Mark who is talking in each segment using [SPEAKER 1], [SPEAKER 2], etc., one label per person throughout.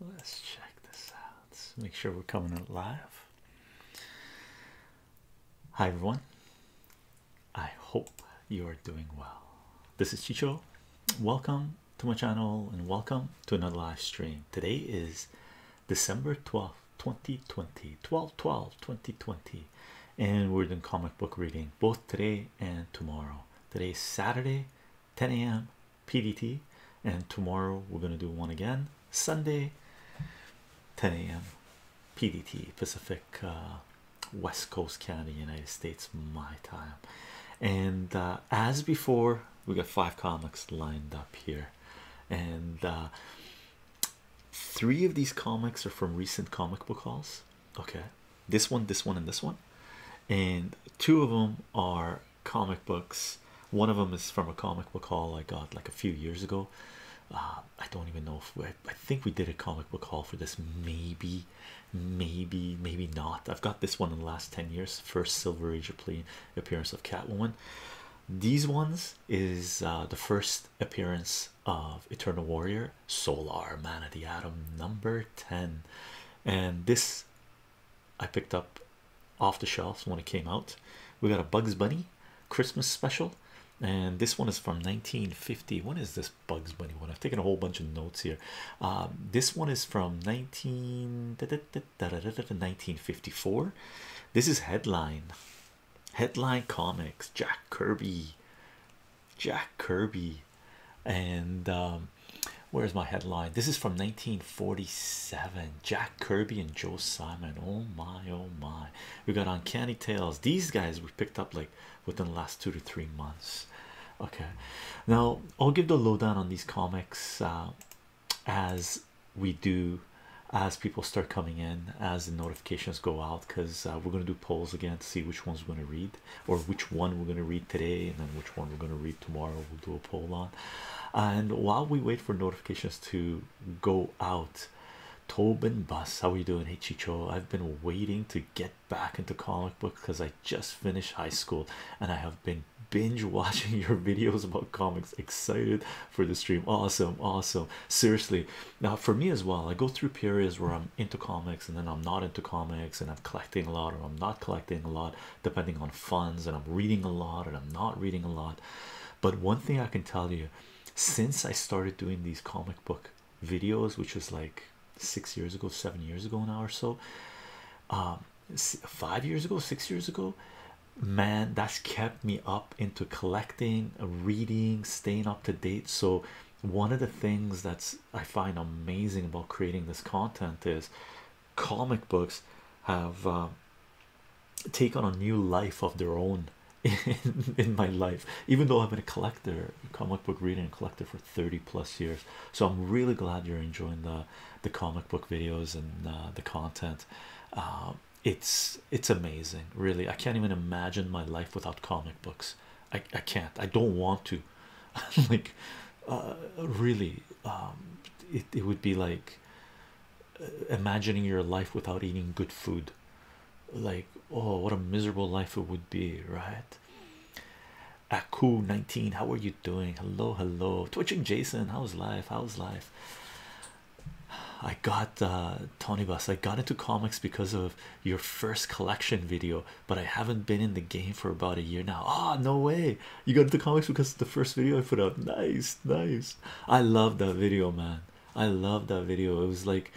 [SPEAKER 1] Let's check this
[SPEAKER 2] out. Let's make sure we're coming out live. Hi, everyone. I hope you are doing well. This is Chicho. Welcome to my channel and welcome to another live stream. Today is December 12th, 2020, 12 12 2020, and we're doing comic book reading both today and tomorrow. Today's Saturday, 10 a.m. PDT, and tomorrow we're gonna do one again Sunday, 10 a.m. PDT Pacific uh, West Coast Canada, United States, my time. And uh, as before, we got five comics lined up here, and uh, three of these comics are from recent comic book hauls. Okay, this one, this one, and this one, and two of them are comic books. One of them is from a comic book haul I got like a few years ago. Uh, I don't even know if we, I think we did a comic book haul for this, maybe, maybe, maybe not. I've got this one in the last 10 years, first Silver Age appearance of Catwoman. These ones is uh, the first appearance of Eternal Warrior, Solar Man of the Atom, number 10. And this I picked up off the shelves when it came out. We got a Bugs Bunny Christmas special, and this one is from 1950. When is this Bugs Bunny one? I've taken a whole bunch of notes here. Um, this one is from 19 1954. This is headline. Headline Comics, Jack Kirby, Jack Kirby, and um, where's my headline? This is from 1947. Jack Kirby and Joe Simon. Oh my, oh my. We got Uncanny Tales. These guys we picked up like within the last two to three months. Okay, now I'll give the lowdown on these comics uh, as we do as people start coming in as the notifications go out because uh, we're going to do polls again to see which ones we're going to read or which one we're going to read today and then which one we're going to read tomorrow we'll do do on. And while we wait for notifications to go out, Tobin Bus, how are you doing? Hey Chicho, I've been waiting to get back into comic book because I just finished high school and I have been binge watching your videos about comics. Excited for the stream. Awesome, awesome. Seriously, now for me as well, I go through periods where I'm into comics and then I'm not into comics and I'm collecting a lot or I'm not collecting a lot depending on funds and I'm reading a lot and I'm not reading a lot but one thing I can tell you since I started doing these comic book videos which was like six years ago seven years ago now or so um, five years ago six years ago man that's kept me up into collecting reading staying up to date so one of the things that's I find amazing about creating this content is comic books have um, taken a new life of their own in, in my life, even though I've been a collector, comic book reader, and collector for 30 plus years. So I'm really glad you're enjoying the the comic book videos and uh, the content. Um, it's it's amazing, really. I can't even imagine my life without comic books. I, I can't. I don't want to. like, uh, really, um, it it would be like uh, imagining your life without eating good food like oh what a miserable life it would be right aku 19 how are you doing hello hello twitching jason how's life how's life i got uh tony bus i got into comics because of your first collection video but i haven't been in the game for about a year now ah no way you got the comics because the first video I put out. Nice, nice. I love that video, man. I love that video. It was like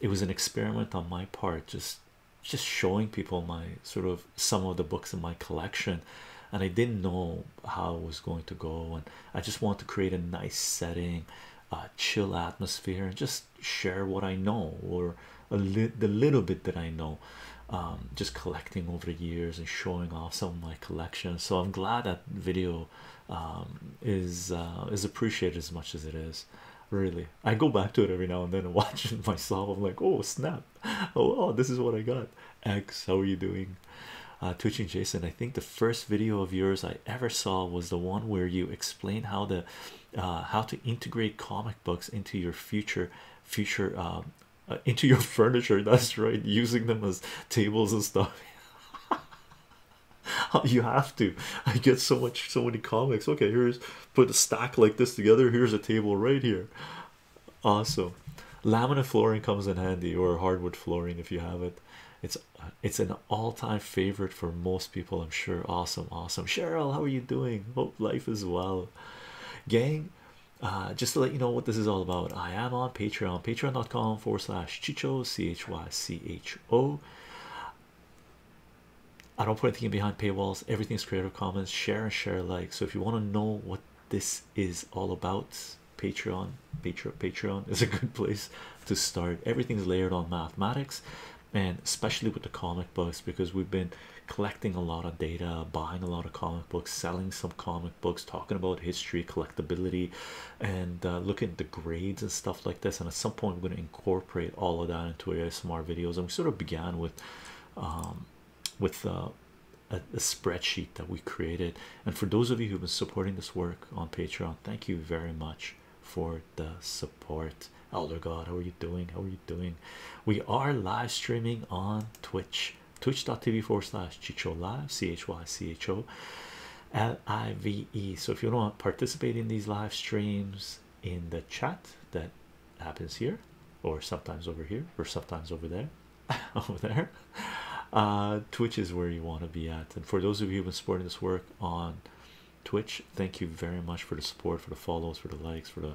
[SPEAKER 2] it was an experiment on my part, just just showing people my sort of some of the books in my collection. And I didn't know how it was going to go, and I just want to create a nice setting, a chill atmosphere, and just share what I know or a li the little bit that I know. Um, just collecting over the years and showing off some of my collection. So I'm glad that video um, is uh, is appreciated as much as it is. Really, I go back to it every now and then and watch myself. I'm like, oh snap! Oh, this is what I got. X, how are you doing? Uh, Twitching Jason, I think the first video of yours I ever saw was the one where you explained how the uh, how to integrate comic books into your future future um, uh, into your furniture. That's right, using them as tables and stuff. Oh, you have to. I get so much, so many comics. Okay, here's put a stack like this together. Here's a table right here. Awesome. Laminate flooring comes in handy, or hardwood flooring if you have it. It's it's an all-time favorite for most people, I'm sure. Awesome, awesome. Cheryl, how are you doing? Hope life is well. Gang, uh, just to let you know what this is all about, I am on Patreon, patreon.com forward slash chicho, C H Y C H O. I don't put anything behind paywalls, everything's Creative Commons. Share and share, like. So, if you want to know what this is all about, Patreon, Patreon, Patreon is a good place to start. Everything's layered on mathematics and especially with the comic books because we've been collecting a lot of data, buying a lot of comic books, selling some comic books talking about history collectibility, and uh, looking at the grades and stuff like this and at some point we're going to incorporate all of that into our SMR videos and we sort of began with um, with uh, a, a spreadsheet that we created and for those of you who've been supporting this work on patreon thank you very much for the support elder god how are you doing how are you doing we are live streaming on twitch twitch.tv forward slash Chicho Live, C H Y C H O L I V E. So if you don't participate in these live streams in the chat that happens here, or sometimes over here, or sometimes over there, over there, uh, Twitch is where you want to be at. And for those of you who've been supporting this work on Twitch, thank you very much for the support, for the follows, for the likes, for the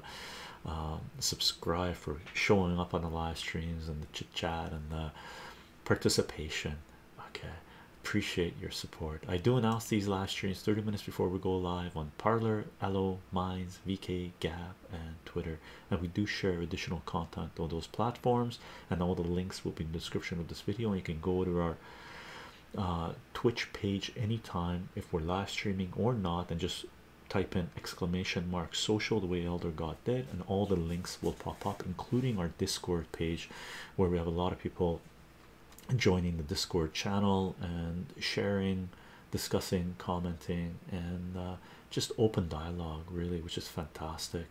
[SPEAKER 2] um, subscribe for showing up on the live streams and the chit chat and the participation okay appreciate your support i do announce these live streams 30 minutes before we go live on parlor allo minds vk gab and twitter and we do share additional content on those platforms and all the links will be in the description of this video and you can go to our uh, twitch page anytime if we're live streaming or not and just type in exclamation mark social the way elder got did and all the links will pop up including our discord page where we have a lot of people joining the discord channel and sharing discussing commenting and uh, just open dialogue really which is fantastic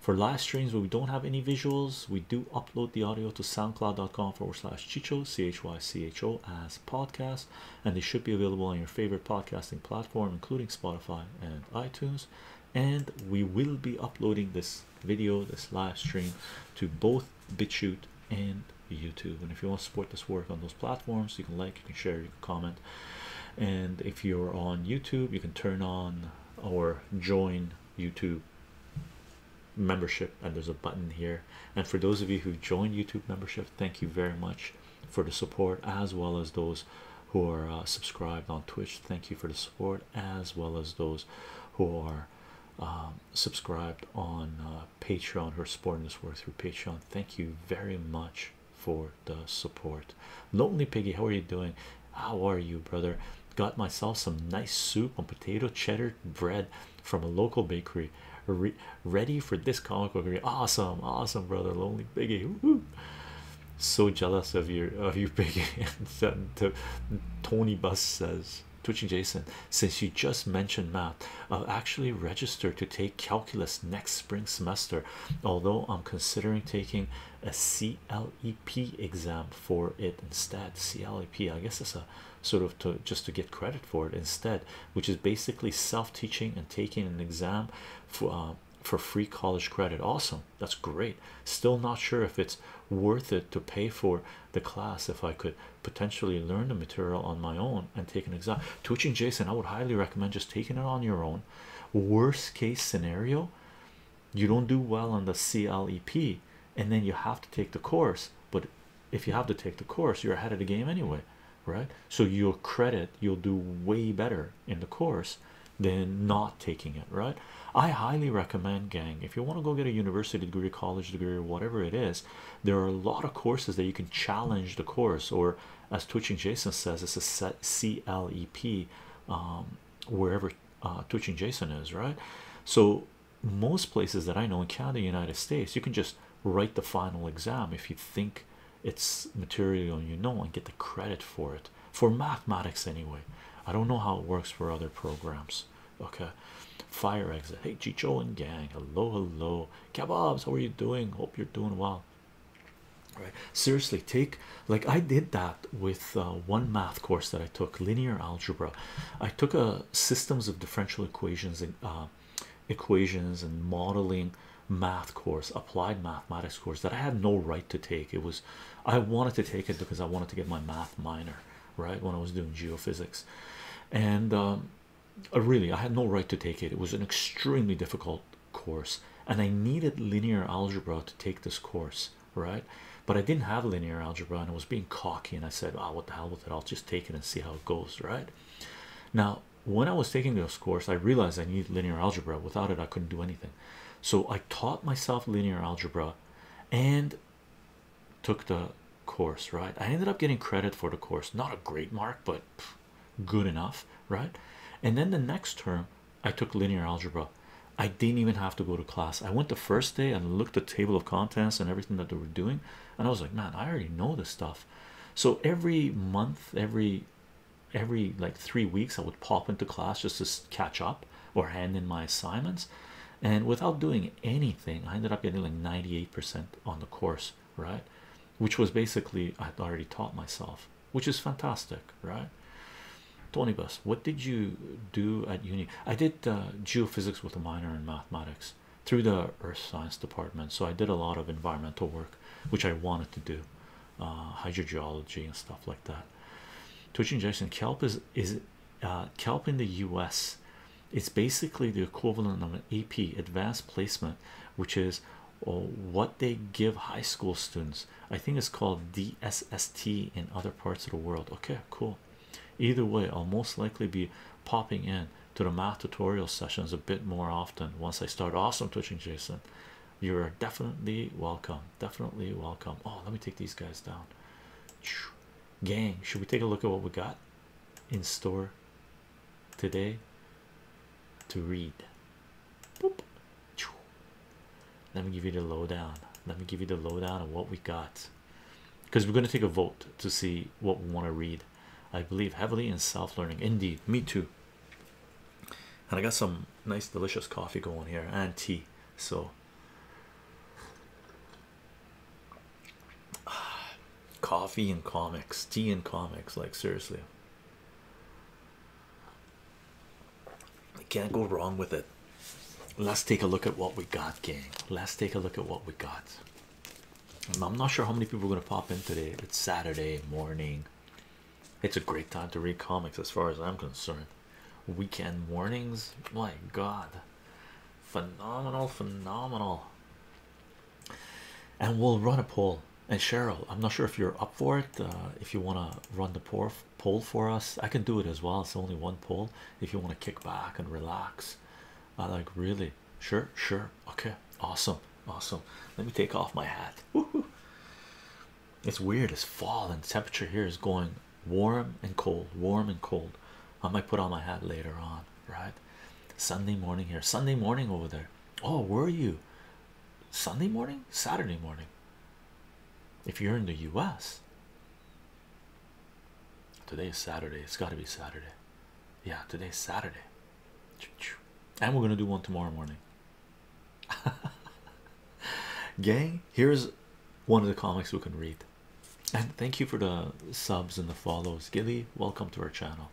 [SPEAKER 2] for live streams where we don't have any visuals we do upload the audio to soundcloud.com forward slash chicho c-h-y-c-h-o as podcast and they should be available on your favorite podcasting platform, including Spotify and iTunes. And we will be uploading this video, this live stream, to both BitChute and YouTube. And if you want to support this work on those platforms, you can like, you can share, you can comment. And if you're on YouTube, you can turn on or join YouTube membership and there's a button here and for those of you who have joined YouTube membership thank you very much for the support as well as those who are uh, subscribed on Twitch. Thank you for the support as well as those who are um, subscribed on uh, Patreon who are supporting this work through Patreon. Thank you very much for the support. Lonely Piggy, how are you doing? How are you, brother? Got myself some nice soup on potato cheddar bread from a local bakery. ready for this comic book. Awesome, awesome, brother. Lonely Piggy so jealous of your of your big hands Tony Bus says twitching Jason since you just mentioned math I'll actually register to take calculus next spring semester although I'm considering taking a CLEP exam for it instead CLEP I guess is a sort of to just to get credit for it instead which is basically self-teaching and taking an exam for uh, for free college credit awesome that's great still not sure if it's worth it to pay for the class if i could potentially learn the material on my own and take an exam twitching jason i would highly recommend just taking it on your own worst case scenario you don't do well on the clep and then you have to take the course but if you have to take the course you're ahead of the game anyway right so your credit you'll do way better in the course than not taking it right i highly recommend gang if you want to go get a university degree college degree or whatever it is there are a lot of courses that you can challenge the course or as twitching jason says it's a clep um, wherever uh, twitching jason is right so most places that i know in canada united states you can just write the final exam if you think its material you know and get the credit for it for mathematics anyway i don't know how it works for other programs okay fire exit hey chicho and gang hello hello kebabs how are you doing hope you're doing well Right. seriously take like i did that with uh, one math course that i took linear algebra i took a uh, systems of differential equations and uh, equations and modeling math course applied mathematics course that I had no right to take it was I wanted to take it because I wanted to get my math minor right when I was doing geophysics and um, uh, really I had no right to take it it was an extremely difficult course and I needed linear algebra to take this course right but I didn't have linear algebra and I was being cocky and I said oh what the hell with it I'll just take it and see how it goes right now when I was taking this course, I realized I needed linear algebra. Without it, I couldn't do anything. So I taught myself linear algebra and took the course, right? I ended up getting credit for the course. Not a great mark, but good enough, right? And then the next term, I took linear algebra. I didn't even have to go to class. I went the first day and looked at the table of contents and everything that they were doing. And I was like, man, I already know this stuff. So every month, every every like three weeks I would pop into class just to catch up or hand in my assignments. And without doing anything, I ended up getting like 98% on the course, right? Which was basically I'd already taught myself, which is fantastic, right? Tony Bus, what did you do at uni? I did uh, geophysics with a minor in mathematics through the earth science department, so I did a lot of environmental work, which I wanted to do. Uh, hydrogeology and stuff like that. Twitch injection kelp is is uh, kelp in the U.S. It's basically the equivalent of an AP advanced placement, which is uh, what they give high school students. I think it's called DSST in other parts of the world. Okay, cool. Either way, I'll most likely be popping in to the math tutorial sessions a bit more often once I start. Awesome, Twitching Jason. You're definitely welcome. Definitely welcome. Oh, let me take these guys down. Gang, should we take a look at what we got in store today to read? Let me give you the lowdown. Let me give you the lowdown on what we got because we're going to take a vote to see what we want to read. I believe heavily in self learning. Indeed, me too and I got some nice delicious coffee going here and tea so coffee and comics tea and comics like seriously I can't go wrong with it let's take a look at what we got gang let's take a look at what we got I'm not sure how many people are gonna pop in today it's Saturday morning it's a great time to read comics, as far as I'm concerned. Weekend mornings, my god, phenomenal, phenomenal. And we'll run a poll. And Cheryl, I'm not sure if you're up for it. Uh, if you want to run the poll for us, I can do it as well. It's only one poll. If you want to kick back and relax, I like really sure, sure, okay, awesome, awesome. Let me take off my hat. It's weird It's fall, and temperature here is going warm and cold, warm and cold. I might put on my hat later on, right? Sunday morning here, Sunday morning over there. Oh, were you Sunday morning, Saturday morning? If you're in the US, today is Saturday, it's got to be Saturday. Yeah, today's Saturday, and we're gonna do one tomorrow morning. gang here's one of the comics we can read and thank you for the subs and the follows gilly welcome to our channel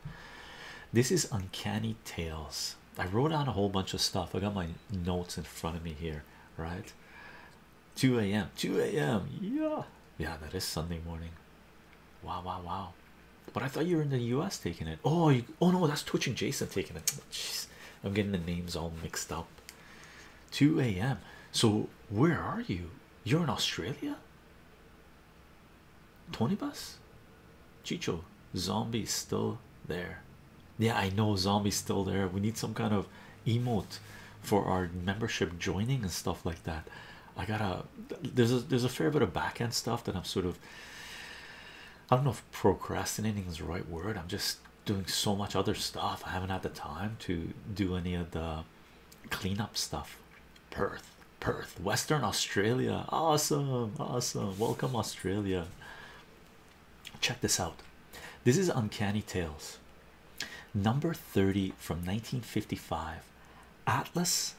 [SPEAKER 2] this is uncanny tales i wrote out a whole bunch of stuff i got my notes in front of me here right 2 a.m 2 a.m yeah yeah that is sunday morning wow wow wow but i thought you were in the u.s taking it oh oh no that's twitching jason taking it Jeez. I'm getting the names all mixed up. 2 a.m. So, where are you? You're in Australia? Tony Bus? Chicho, zombies still there. Yeah, I know zombies still there. We need some kind of emot for our membership joining and stuff like that. I gotta there's a there's a fair bit of back end stuff that I'm sort of I don't know procrastinating is the right word. I'm just doing so much other stuff. I haven't had the time to do any of the cleanup stuff. Perth, Perth, Western Australia. Awesome, awesome. Welcome, Australia. Check this out. This is Uncanny Tales, number 30 from 1955. Atlas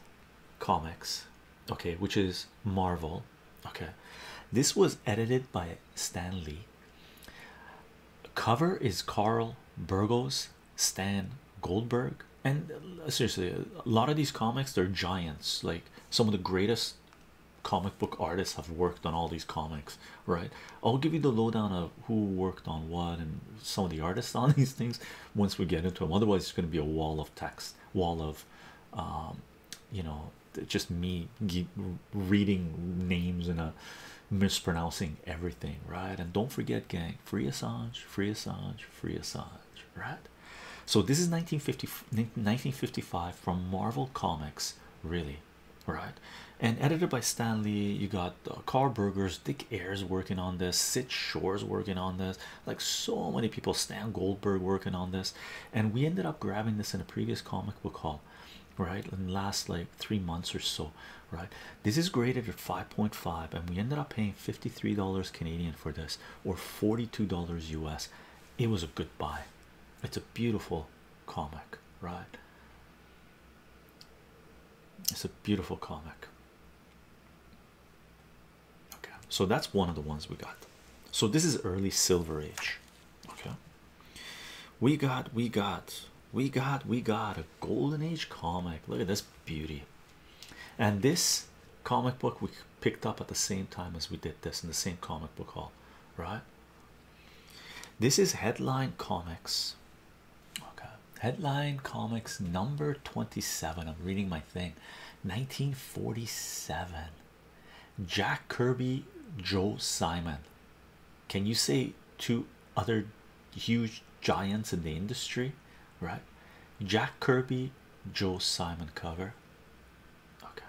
[SPEAKER 2] Comics, okay, which is Marvel Okay, this was edited by Stan Lee. Cover is Carl Burgos, Stan Goldberg, and uh, seriously, a lot of these comics they're giants. Like some of the greatest comic book artists have worked on all these comics, right? I'll give you the lowdown of who worked on what and some of the artists on these things once we get into them. Otherwise, it's going to be a wall of text, wall of um, you know, just me reading names and a uh, mispronouncing everything right and don't forget gang free Assange free Assange free Assange right so this is 1950 1955 from Marvel Comics really right and edited by Stan Lee you got uh, Dick Ayers working on this Sid Shore's working on this like so many people Stan Goldberg working on this and we ended up grabbing this in a previous comic book haul right in last like three months or so right this is graded at 5.5 and we ended up paying 53 dollars canadian for this or 42 dollars us it was a good buy it's a beautiful comic right it's a beautiful comic okay so that's one of the ones we got so this is early silver age Okay, we got, we got, we got, we got a golden age comic. Look at this beauty, and this comic book we picked up at the same time as we did this in the same comic book hall, right? This is Headline Comics. Okay, Headline Comics number 27. I'm reading my thing 1947. Jack Kirby, Joe Simon. Can you say two other huge giants in the industry? Right? Jack Kirby, Joe Simon cover. Okay.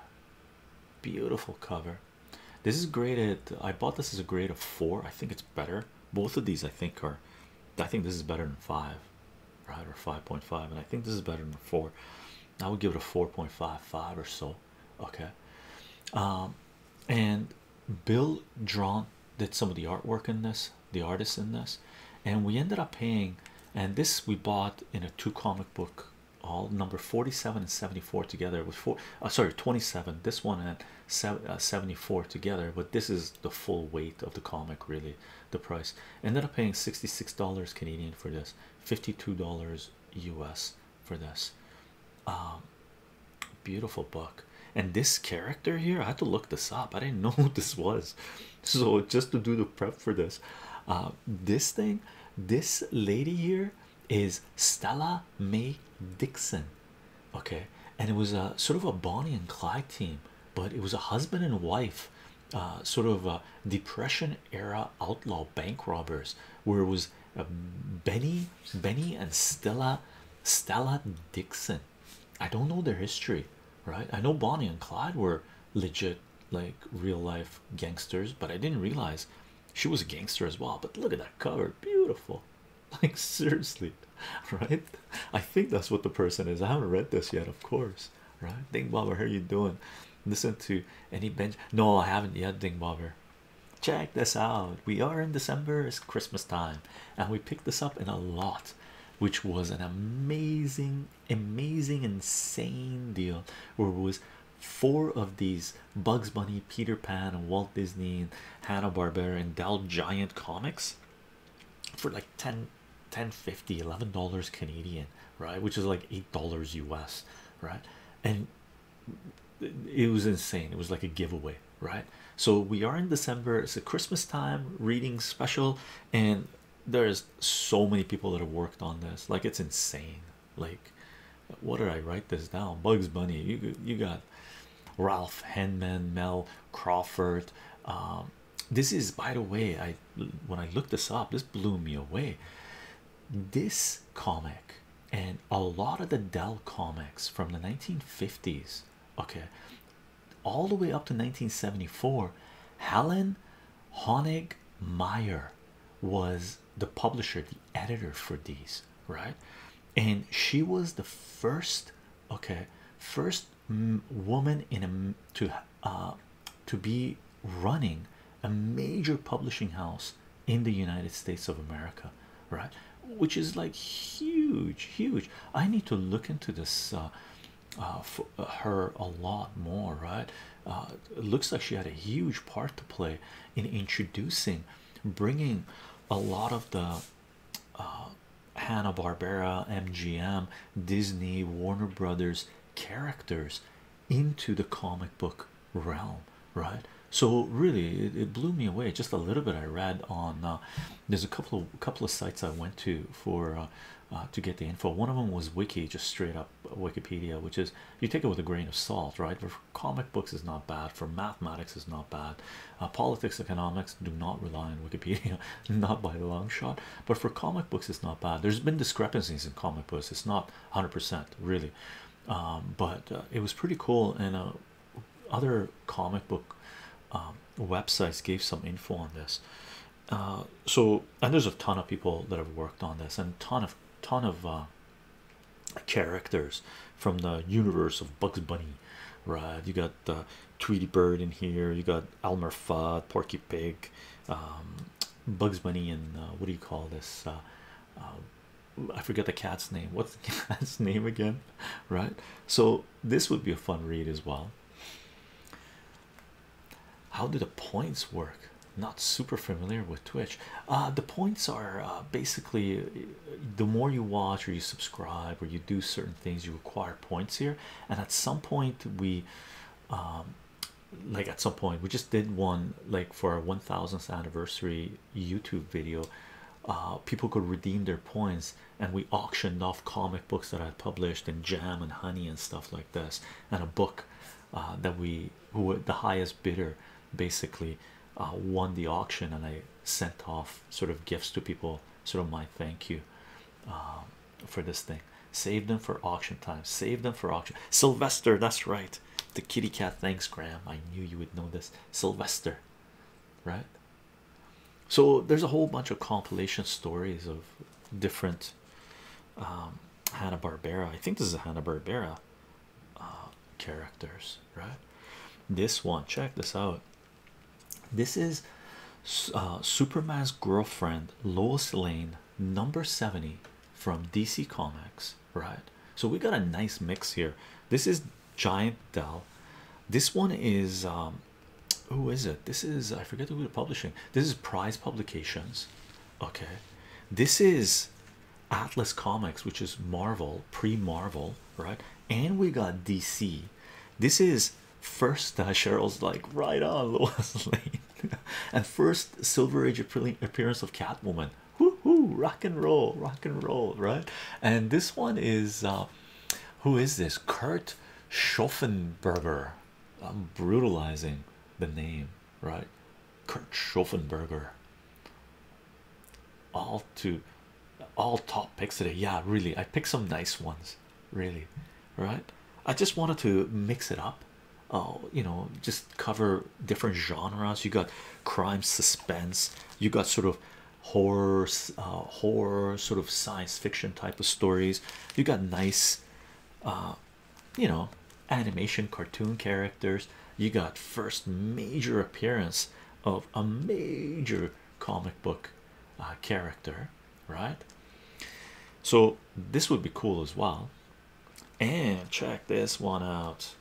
[SPEAKER 2] Beautiful cover. This is graded. I bought this as a grade of four. I think it's better. Both of these, I think, are. I think this is better than five, right? Or 5.5, and I think this is better than four. I would give it a 4.55 or so. Okay, um, and Bill Drawn did some of the artwork in this, the artist in this, and we ended up paying. And this we bought in a two comic book, all number 47 and 74 together with four. Uh, sorry, 27. This one and uh, 74 together, but this is the full weight of the comic, really. The price ended up paying $66 Canadian for this, $52 US for this. Um, beautiful book. And this character here, I had to look this up. I didn't know who this was. So just to do the prep for this, uh, this thing, this lady here is Stella Mae Dixon. Okay, and it was a sort of a Bonnie and Clyde team, but it was a husband and wife, uh, sort of a depression era outlaw bank robbers, where it was uh, Benny, Benny, and Stella, Stella Dixon. I don't know their history, right? I know Bonnie and Clyde were legit, like real life gangsters, but I didn't realize she was a gangster as well. But look at that cover, beautiful, like seriously, right? I think that's what the person is. I haven't read this yet, of course, right? Think, Bob, how are you doing? listen to any bench no i haven't yet ding bobber check this out we are in december it's christmas time and we picked this up in a lot which was an amazing amazing insane deal where it was four of these bugs bunny peter pan and walt disney and hanna-barbera and dell giant comics for like 10 10 50 11 dollars canadian right which is like eight dollars us right and it was insane it was like a giveaway right so we are in december it's a christmas time reading special and there's so many people that have worked on this like it's insane like what did i write this down bugs bunny you you got ralph henman mel crawford um, this is by the way i when i looked this up this blew me away this comic and a lot of the Dell comics from the 1950s, okay, all the way up to 1974, Helen Honig Meyer was the publisher, the editor for these, right? And she was the first, okay, first woman in a to uh to be running a major publishing house in the United States of America, right? Which is like huge, huge. I need to look into this uh, uh, for uh, her a lot more, right? it looks like she had a huge part to play in introducing, bringing a lot of the uh, Hanna Barbera, MGM, Disney, Warner Brothers characters into the comic book realm right so really it, blew me away just a little bit i read on uh, there's a couple of couple of sites i went to for uh, uh, to get the info one of them was wiki just straight up wikipedia which is you take it with a grain of salt right for comic books is not bad for mathematics is not bad politics economics do not rely on wikipedia not by a long shot but for comic books it's not bad there's been discrepancies in comic books it's not 100 percent really um, but uh, it was pretty cool and uh, other comic book um, websites gave some info on this uh, so and there's a ton of people that have worked on this and ton of ton of uh, characters from the universe of Bugs Bunny right you got Tweety Bird in here you got Elmer Fudd Porky Pig um, Bugs Bunny and what do you call this um, I forget the cat's name. What's the cat's name again? Right? So, this would be a fun read as well. How do the points work? Not super familiar with Twitch. Uh, the points are uh, basically the more you watch or you subscribe or you do certain things, you acquire points here. And at some point, we um, like at some point we just did one like for our 1000th anniversary youtube video uh, people could redeem their points and we auctioned off comic books that i published and jam and honey and stuff like this and a book uh, that we who were the highest bidder basically uh, won the auction and i sent off sort of gifts to people sort of my thank you for this thing save them for auction time save them for auction sylvester that's right the kitty cat thanks graham i knew you would know this sylvester right so there's a whole bunch of compilation stories of different um, hanna-barbera i think this is a hanna-barbera uh, characters right this one check this out this is uh, superman's girlfriend lois lane number 70 from dc comics right? So we got a nice mix here. This is Giant Dell. This one is um, who is it? This is I forget who we publishing. This is Prize Publications. Okay, this is Atlas Comics, which is Marvel pre-Marvel, right? And we got DC. This is first uh, Cheryl's like right on Lois Lane, and first Silver Age appearance of Catwoman. Woohoo! Rock and roll, rock and roll, right? And this one is uh, who is this? Kurt Schoffenberger. I'm brutalizing the name, right? Kurt Schoffenberger. All to all top picks today. Yeah, really. I picked some nice ones, really. Right? I just wanted to mix it up Oh, you know, just cover different genres. You got crime, suspense. You got sort of horror, uh, horror, sort of science fiction type of stories. You got nice, uh, you know, animation, cartoon characters. You got first major appearance of a major comic book uh, character, right? So this would be cool as well. And check this one out.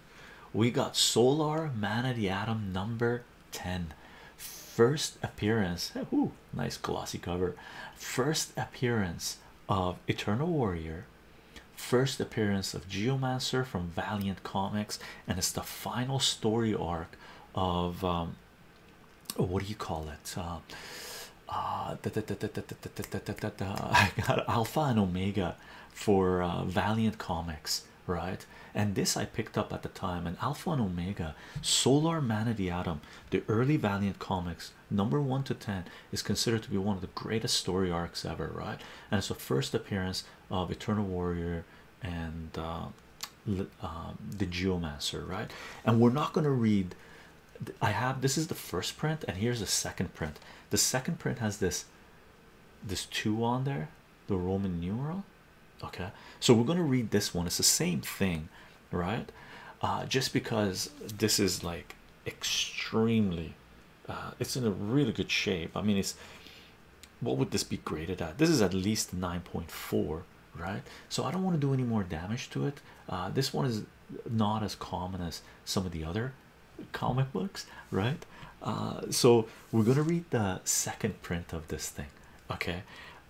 [SPEAKER 2] We got Solar Man of the Atom number 10. First appearance. Ooh, nice glossy cover. First appearance of Eternal Warrior. First appearance of Geomancer from Valiant Comics. And it's the final story arc of what do you call it? I got Alpha and Omega for uh, Valiant Comics, right? And this I picked up at the time. And Alpha and Omega, Solar Man of the Atom, the early Valiant Comics, number one to ten, is considered to be one of the greatest story arcs ever, right? And it's the first appearance of Eternal Warrior and uh, um, the Geomancer, right? And we're not going to read. I have this is the first print, and here's the second print. The second print has this this two on there, the Roman numeral. Okay, so we're gonna read this one. It's the same thing, right? Uh, just because this is like extremely, uh, it's in a really good shape. I mean, it's what would this be graded at? This is at least nine point four, right? So I don't want to do any more damage to it. Uh, this one is not as common as some of the other comic books, right? Uh, so we're gonna read the second print of this thing, okay?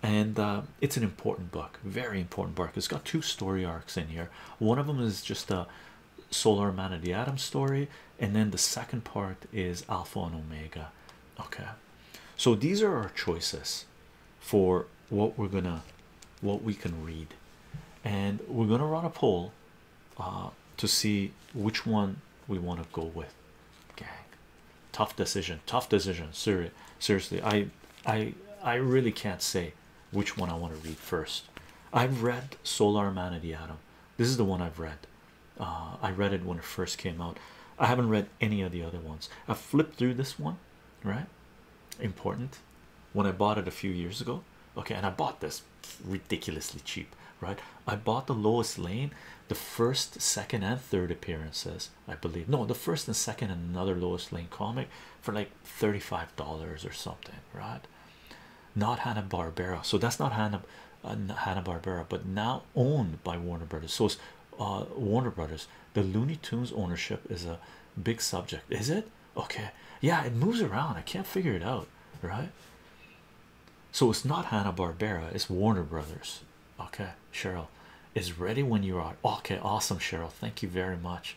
[SPEAKER 2] And uh, it's an important book, very important book. It's got two story arcs in here. One of them is just a Solar Man of the Atom story, and then the second part is Alpha and Omega. Okay, so these are our choices for what we're gonna, what we can read, and we're gonna run a poll uh, to see which one we want to go with. Gang, tough decision, tough decision. Seriously, seriously, I, I, I really can't say which one I want to read first. I've read Solar Humanity, Adam. This is the one I've read. Uh, I read it when it first came out. I haven't read any of the other ones. I flipped through this one, right? Important when I bought it a few years ago. Okay, and I bought this ridiculously cheap, right? I bought the Lois Lane, the first, second, and third appearances, I believe. No, the first and second, and another Lois Lane comic for like $35 or something, right? Not Hanna Barbera, so that's not Hanna. Uh, Hanna Barbera, but now owned by Warner Brothers. So, it's, uh, Warner Brothers, the Looney Tunes ownership is a big subject. Is it? okay yeah it moves around i can't figure it out right so it's not hanna-barbera it's warner brothers okay cheryl is ready when you are okay awesome cheryl thank you very much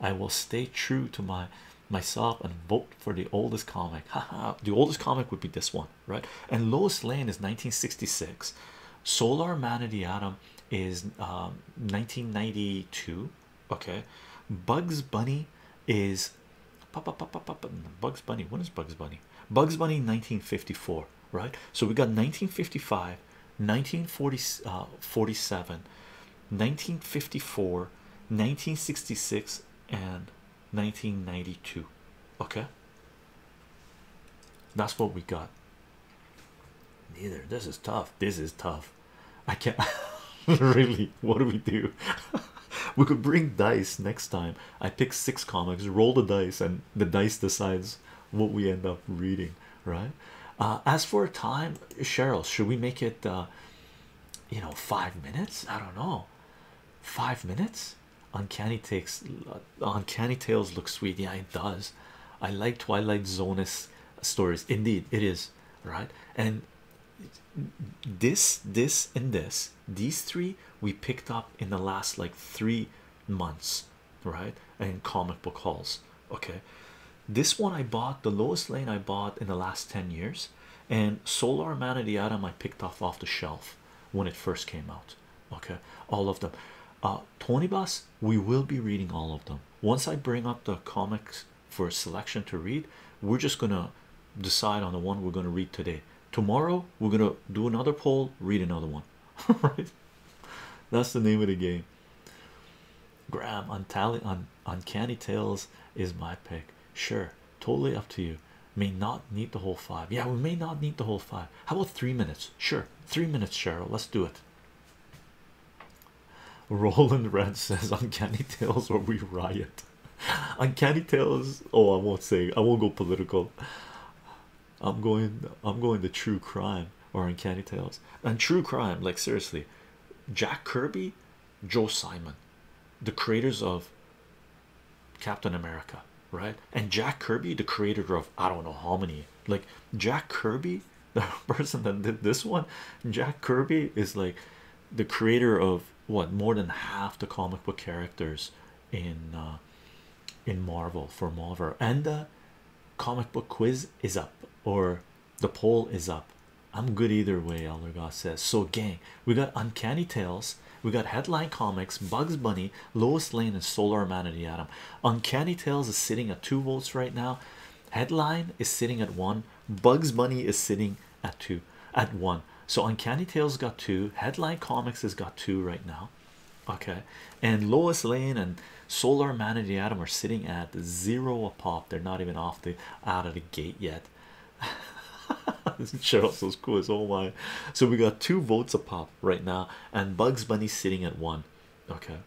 [SPEAKER 2] i will stay true to my myself and vote for the oldest comic haha the oldest comic would be this one right and lois lane is 1966 solar man of the atom is 1992 um, okay bugs bunny is bugs bunny when is bugs bunny bugs bunny 1954 right so we got 1955 1940 uh, 1954 1966 and 1992 okay that's what we got neither this is tough this is tough I can't really. What do we do? we could bring dice next time. I pick six comics, roll the dice, and the dice decides what we end up reading, right? Uh, as for time, Cheryl, should we make it, uh, you know, five minutes? I don't know, five minutes. Uncanny takes uh, uncanny tales looks sweet. Yeah, it does. I like Twilight Zone stories, indeed, it is right. And this this and this these three we picked up in the last like three months right and comic book hauls okay this one i bought the lowest lane i bought in the last 10 years and solar man of the atom i picked off off the shelf when it first came out okay all of them uh tony bus we will be reading all of them once i bring up the comics for a selection to read we're just gonna decide on the one we're gonna read today tomorrow we're gonna do another poll read another one right that's the name of the game graham untally un uncanny tales is my pick sure totally up to you may not need the whole five yeah we may not need the whole five how about three minutes sure three minutes cheryl let's do it roland red says uncanny tales or we riot Uncanny Tales. Oh, I won't say. I won't go political. I'm going. I'm going to true crime or Uncanny Tales and true crime. Like seriously, Jack Kirby, Joe Simon, the creators of Captain America, right? And Jack Kirby, the creator of I don't know how many. Like Jack Kirby, the person that did this one, Jack Kirby is like the creator of what more than half the comic book characters in uh, in Marvel for Marvel, and the comic book quiz is up, or the poll is up. I'm good either way, Eldergoss says. So, gang, we got Uncanny Tales, we got Headline Comics, Bugs Bunny, Lois Lane, and Solar Man and the Atom. Uncanny Tales is sitting at two votes right now. Headline is sitting at one. Bugs Bunny is sitting at two at one so uncanny tales got two headline comics has got two right now okay and lois lane and solar man and the atom are sitting at zero a pop they're not even off the out of the gate yet this Cheryl's so cool as oh my so we got two votes a pop right now and bugs bunny sitting at one okay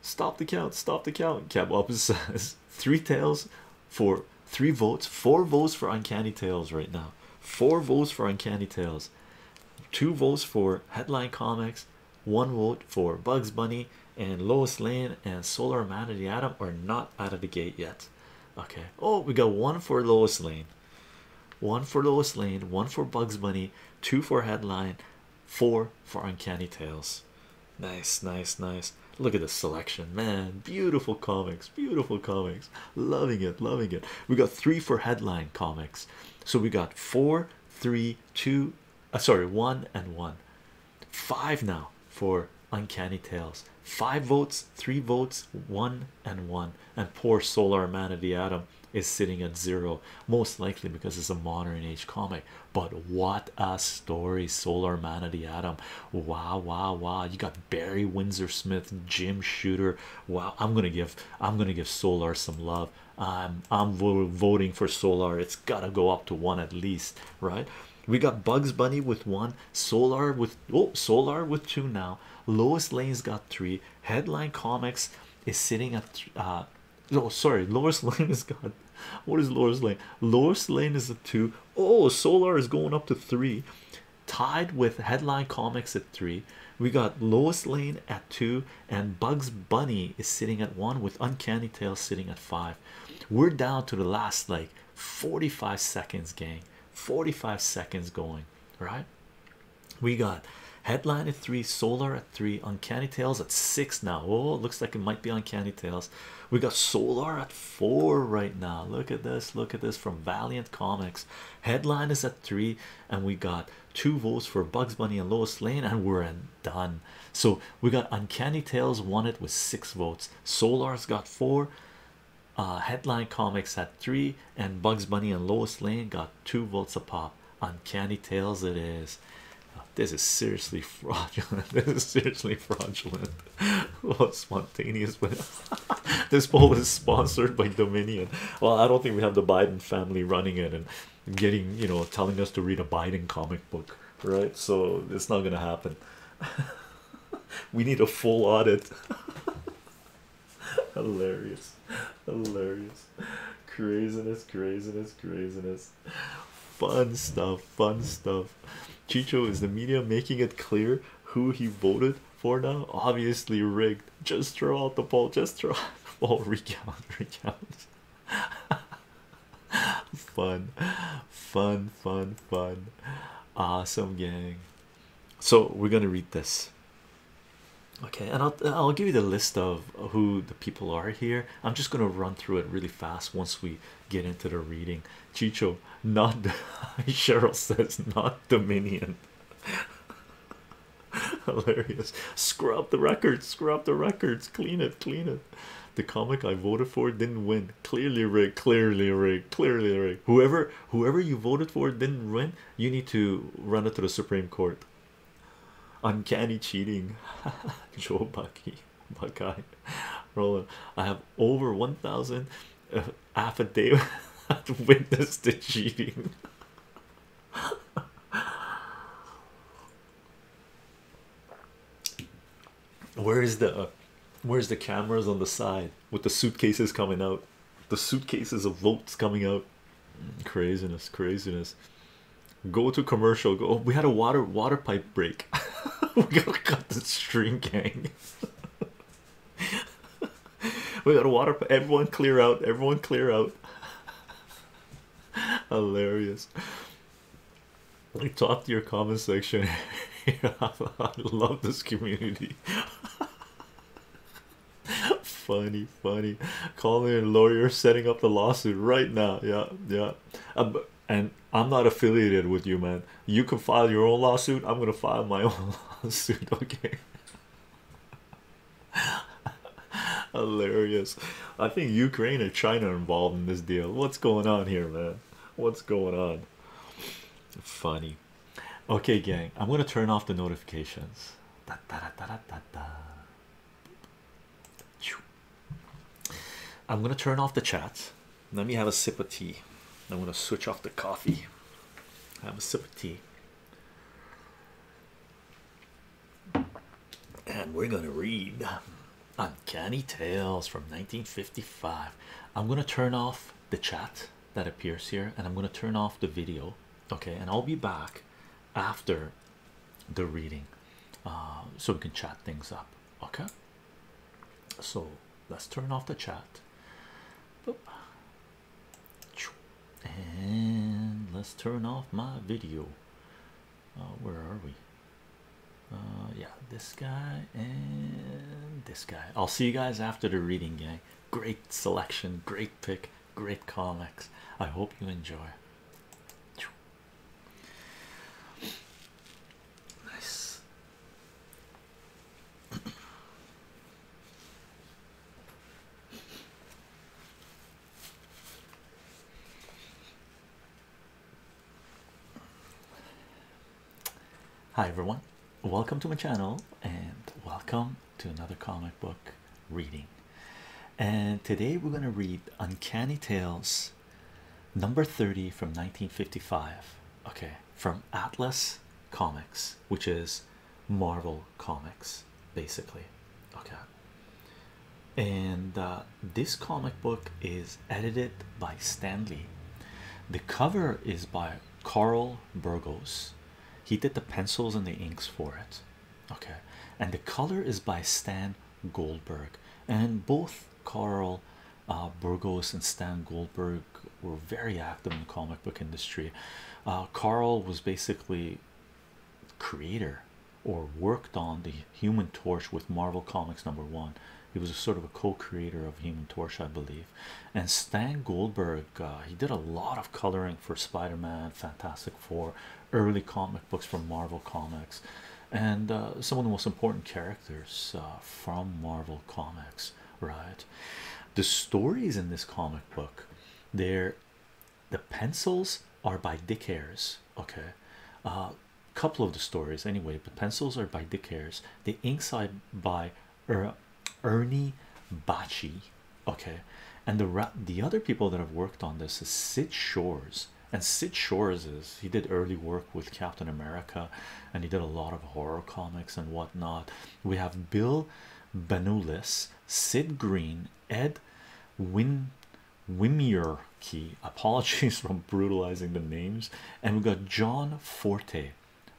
[SPEAKER 2] stop the count stop the count cab up says three tails for three votes, four votes for Uncanny Tales right now, four votes for Uncanny Tales, two votes for Headline Comics, one vote for Bugs Bunny, and Lois Lane and Solar Man of the Atom are not out of the gate yet. Okay, oh, we got one for Lois Lane, one for Lois Lane, one for Bugs Bunny, two for Headline, four for Uncanny Tales. Nice, nice, nice. Look at the selection, man. Beautiful comics, beautiful comics. Loving it, loving it. We got three for headline comics. So we got four, three, two, uh, sorry, one and one. Five now for Uncanny Tales. Five votes, three votes, one and one. And poor Solar Man of the Atom is sitting at zero, most likely because it's a modern age comic. But what a story, Solar Man of the Atom! Wow, wow, wow! You got Barry Windsor Smith, Jim Shooter. Wow, I'm gonna give I'm gonna give Solar some love. I'm I'm voting for Solar. It's gotta go up to one at least, right? We got Bugs Bunny with one, Solar with oh Solar with two now. Lois Lane's got three. Headline Comics is sitting at uh no oh, sorry Lois Lane is got what is Lois Lane? Lois Lane is a two. Oh, Solar is going up to three, tied with Headline Comics at three. We got Lois Lane at two, and Bugs Bunny is sitting at one, with Uncanny Tales sitting at five. We're down to the last like 45 seconds, gang. 45 seconds going, right? We got headline at three, solar at three, uncanny tales at six now. Oh, looks like it might be uncanny tales we got solar at four right now look at this look at this from valiant comics headline is at three and we got two votes for bugs bunny and lois lane and we're done so we got uncanny tales won it with six votes solar's got four uh headline comics at three and bugs bunny and lois lane got two votes a pop uncanny tales it is uh, this is seriously fraudulent this is seriously fraudulent well, spontaneous this poll is sponsored by Dominion. Well, I don't think we have the Biden family running it and getting you know telling us to read a Biden comic book, right? So it's not gonna happen. we need a full audit. hilarious, hilarious, craziness, craziness, craziness. Fun stuff, fun stuff. Chicho is the media making it clear who he voted for now. Obviously rigged. Just throw out the poll. Just throw out the Recount. Recount. fun, fun, fun, fun. Awesome gang. So we're gonna read this. Okay, and I'll I'll give you the list of who the people are here. I'm just gonna run through it really fast once we get into the reading. Chicho, not Cheryl says, not Dominion. Hilarious. Scrub the records, scrub the records, clean it, clean it. The comic I voted for didn't win. Clearly rigged, clearly rigged, clearly rigged. Whoever whoever you voted for didn't win, you need to run it to the Supreme Court. Uncanny cheating. Joe Bucky. My Buckeye, Roland. I have over 1,000 uh, affidavits witnessed the cheating. Where is the uh, where's the cameras on the side with the suitcases coming out? The suitcases of votes coming out. Mm, craziness, craziness. Go to commercial. Go. we had a water water pipe break. we gotta cut the string, gang we got a water. Everyone clear out. Everyone clear out. Hilarious. Like top to your comment section. I love this community. funny, funny. Calling a lawyer, setting up the lawsuit right now. Yeah, yeah. Uh, and I'm not affiliated with you, man. You can file your own lawsuit. I'm gonna file my own lawsuit. Okay. Hilarious. I think Ukraine and China are involved in this deal. What's going on here, man? What's going on? Funny. Okay, gang. I'm gonna turn off the notifications. I'm gonna turn off the chat. Let me have a sip of tea. I'm going to switch off the coffee. Have a sip of tea. And we're going to read Uncanny Tales from 1955. I'm going to turn off the chat that appears here and I'm going to turn off the video. Okay, and I'll be back after the reading uh, so we can chat things up okay so let's turn off the chat and let's turn off my video uh, where are we uh, yeah this guy and this guy I'll see you guys after the reading gang great selection great pick great comics I hope you enjoy nice Hi everyone, welcome to my channel and welcome to another comic book reading. And today we're going to read Uncanny Tales number 30 from 1955. Okay, from Atlas Comics, which is Marvel Comics, basically. Okay, and uh, this comic book is edited by Stanley. The cover is by Carl Burgos. He did the pencils and the inks for it. Okay, and the color is by Stan Goldberg, and both Carl uh, Burgos and Stan Goldberg were very active in the comic book industry. Uh, Carl was basically creator or worked on the Human Torch with Marvel Comics number one. He was sort of a co-creator of Human Torch, I believe. And Stan Goldberg, uh, he did a lot of coloring for Spider-Man, Fantastic Four, early comic books from Marvel Comics, and some of the most important characters from Marvel Comics right? The stories in this comic book, they're the pencils are by Dick Harris, okay. A uh, couple of the stories, anyway. but pencils are by Dick Harris, the inks are by er, Ernie Bachi. okay. And the the other people that have worked on this is Sid Shores, and Sid Shores is he did early work with Captain America and he did a lot of horror comics and whatnot. We have Bill Benulis, Sid Green, Ed Win Wimier Apologies for brutalizing the names, and we have got John Forte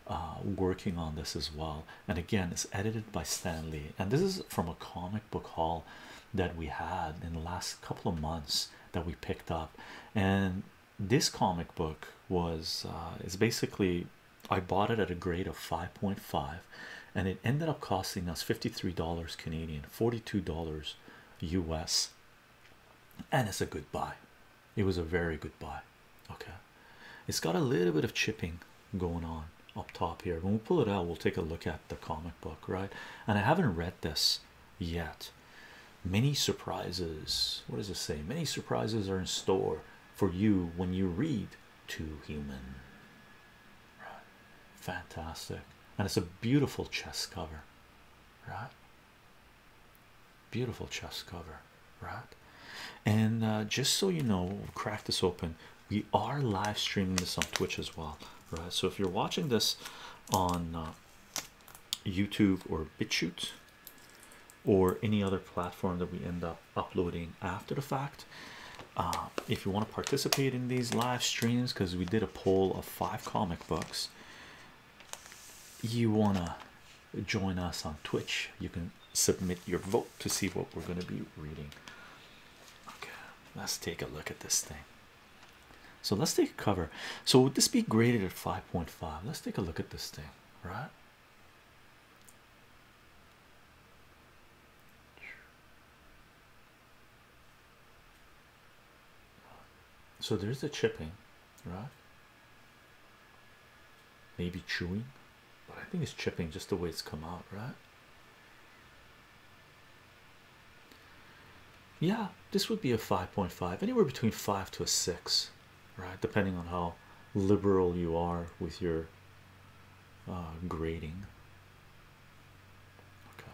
[SPEAKER 2] uh, working on this as well. And again, it's edited by Stanley, and this is from a comic book haul that we had in the last couple of months that we picked up and this comic book was uh, it's basically I bought it at a grade of 5.5 and it ended up costing us $53 Canadian, $42 US. And it's a good buy. It was a very good buy. Okay. It's got a little bit of chipping going on up top here. When we pull it out, we'll take a look at the comic book, right? And I haven't read this yet. Many surprises. What does it say? Many surprises are in store for you when you read Too Human. Right. Fantastic. And it's a beautiful chess cover, right? Beautiful chess cover, right? And uh, just so you know, we'll crack this open. We are live streaming this on Twitch as well, right? So if you're watching this on uh, YouTube or BitChute, or any other platform that we end up uploading after the fact. Uh, if you want to participate in these live streams, because we did a poll of five comic books, you want to join us on Twitch. You can submit your vote to see what we're going to be reading. Okay, let's take a look at this thing. So let's take a cover. So would this be graded at 5.5? Let's take a look at this thing right? So there's a chipping, right? Maybe chewing, but I think it's chipping just the way it's come out, right? Yeah, this would be a 5.5, anywhere between 5 to a 6 right? Depending on how liberal you are with your uh, grading. Okay,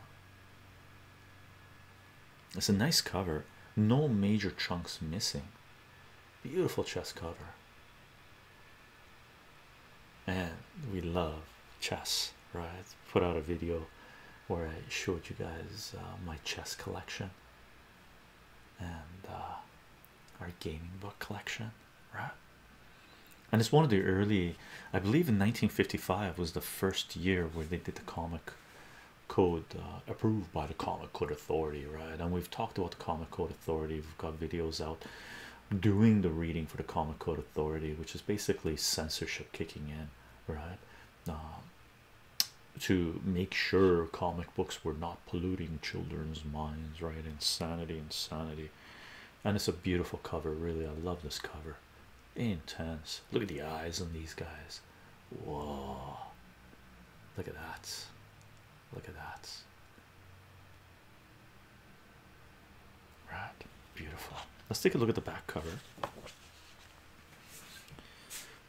[SPEAKER 2] it's a nice cover, no major chunks missing. Beautiful chess cover, and we love chess, right? Put out a video where I showed you guys uh, my chess collection and uh, our gaming book collection, right? And it's one of the early, I believe, in 1955 was the first year where they did the comic code uh, approved by the comic code authority, right? And we've talked about the comic code authority, we've got videos out doing the reading for the comic code authority, which is basically censorship kicking in, right? Uh, to make sure comic books were not polluting children's minds, right? Insanity, insanity, and it's a beautiful cover, really. I love this cover, intense. Look at the eyes on these guys. Whoa, look at that! Look at that! Right, beautiful. Let's take a look at the back cover.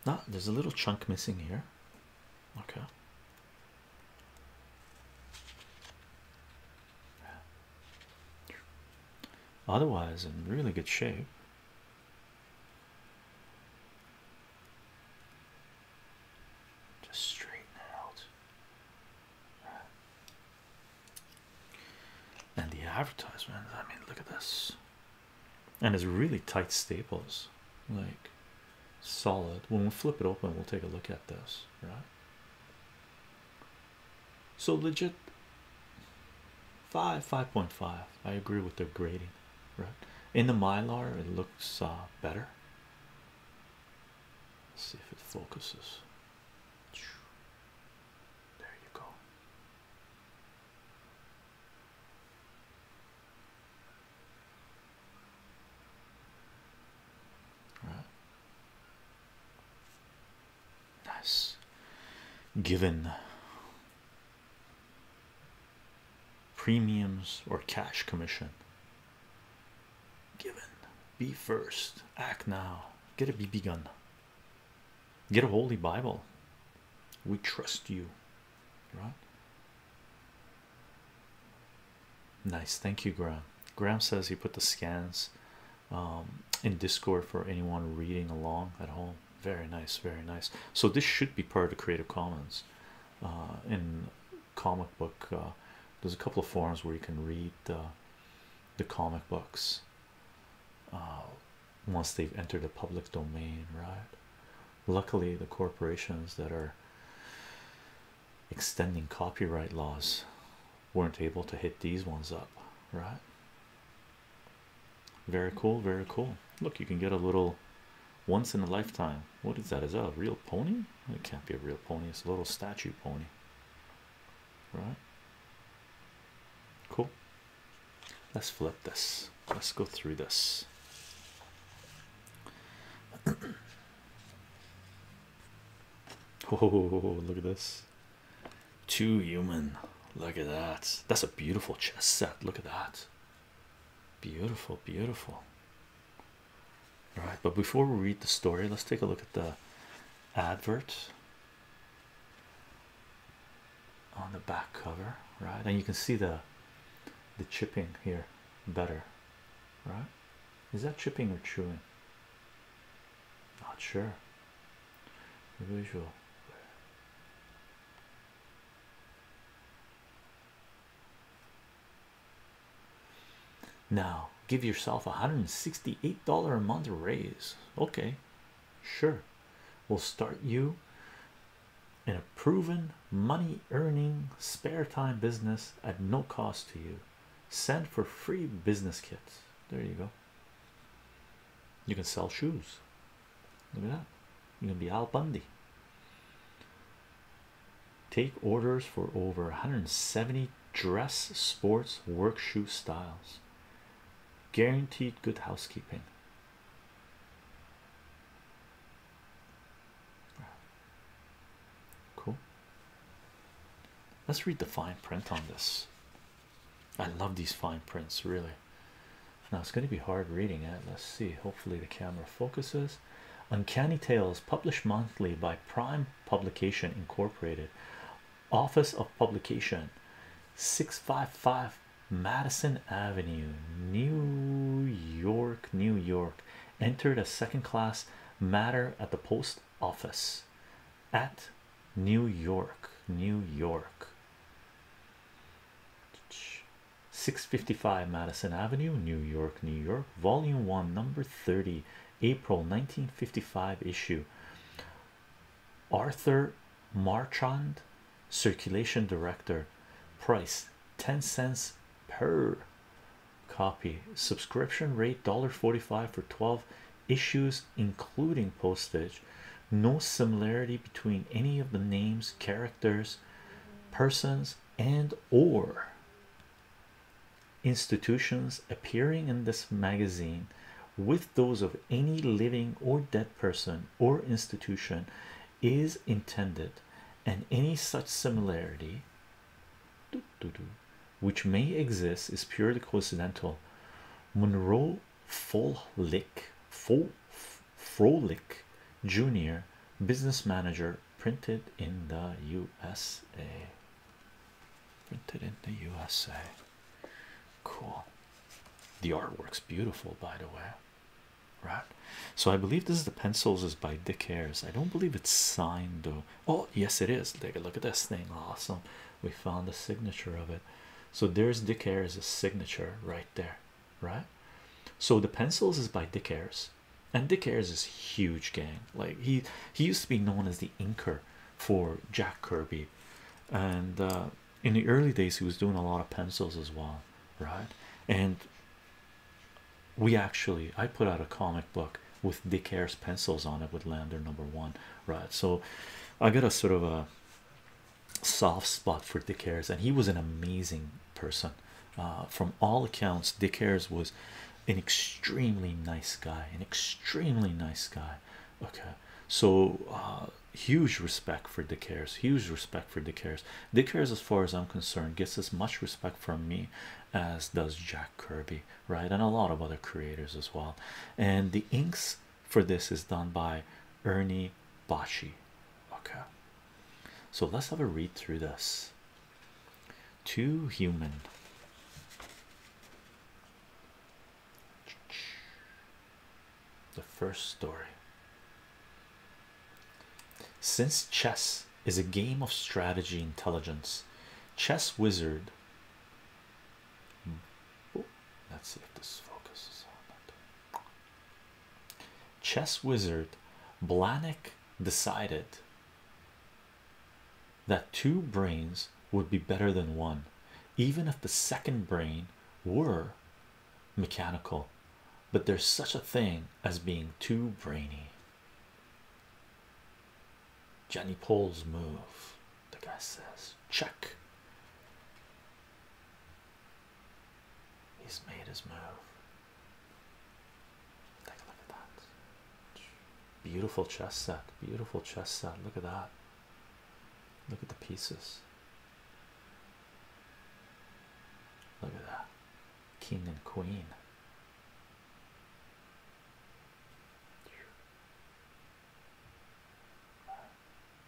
[SPEAKER 2] Ah, there's a little chunk missing here. Okay. Otherwise, in really good shape. Just straighten out. And the advertisement, I mean, look at this and it's really tight staples like solid when we flip it open we'll take a look at this right so legit 5 5.5 I agree with their grading right in the mylar it looks uh, better Let's see if it focuses there you go Nice. Given premiums or cash commission. Given. Be first. Act now. Get a BB gun. Get a holy Bible. We trust you right? Nice, thank you, Graham. Graham says he put the scans um, in Discord for anyone reading along at home. Very nice, very nice. So this should be part of the Creative Commons. Uh, in comic book, uh, there's a couple of forums where you can read the, comic books uh, once they've entered the public domain, right? Luckily, the corporations that are extending copyright laws weren't able to hit these ones up, right? Very cool, very cool. Look, you can get a little once in a lifetime. What is that? Is that a real pony? It can't be a real pony, it's a little statue pony, right? Cool. Let's flip this. Let's go through this. oh, look at this. Too human. Look at that. That's a beautiful chess set. Look at that. Beautiful, beautiful. All right, but before we read the story, let's take a look at the advert on the back cover, right? And you can see the the chipping here better, right? Is that chipping or chewing? Not sure. Visual. Now give yourself a hundred and sixty eight dollar a month raise. Okay, sure. We'll start you in a proven money earning spare time business at no cost to you send for free business kits there you go you can sell shoes look at that you can be Al Bundy take orders for over 170 dress sports work shoe styles guaranteed good housekeeping Cool. Let's read the fine print on this. I love these fine prints, really. Now it's going to be hard reading it. Let's see. Hopefully, the camera focuses. Uncanny Tales, published monthly by Prime Publication Incorporated, Office of Publication, 655 Madison Avenue, New York, New York. Entered a second class matter at the post office at New York, New York. 655 Madison Avenue, New York, New York, volume 1, number 30, April 1955 issue. Arthur Marchand circulation director price 10 cents per copy subscription rate forty-five for 12 issues including postage no similarity between any of the names characters persons and or institutions appearing in this magazine with those of any living or dead person or institution is intended and any such similarity which may exist is purely coincidental Monroe Folick Fol Frolick Jr. business manager printed in the USA printed in the USA cool the artwork's beautiful by the way right? So I believe this is the pencils is by Dick Ayers. I don't believe it's signed though. Oh yes, it is. Take a look at this thing. Awesome. We found the signature of it. So there's Dick Ayers' signature right there, right? So the pencils is by Dick Ayers, and Dick Ayers is huge gang. Like he he used to be known as the inker for Jack Kirby, and uh, in the early days he was doing a lot of pencils as well, right? And we actually i put out a comic book with dick Ayers pencils on it with lander number one right so i got a sort of a soft spot for dick Ayers, and he was an amazing person uh, from all accounts dick Ayers was an extremely nice guy an extremely nice guy okay so uh, huge respect for dick Ayers, huge respect for dick Ayers. Dick Ayers, as far as I'm concerned, gets as much respect from me as does Jack Kirby, right? And a lot of other creators as well. And the inks for this is done by Ernie Bachi. Okay, so let's have a read through this. Too human. The first story. Since chess is a game of strategy intelligence, chess wizard. Oh, let's see if this focuses on that. Chess wizard Blanik decided that two brains would be better than one, even if the second brain were mechanical but there's such a thing as being too brainy. Jenny Pole's move, the guy says, check. He's made his move. Take a look at that. Beautiful chess set, beautiful chess set. Look at that. Look at the pieces. Look at that king and queen.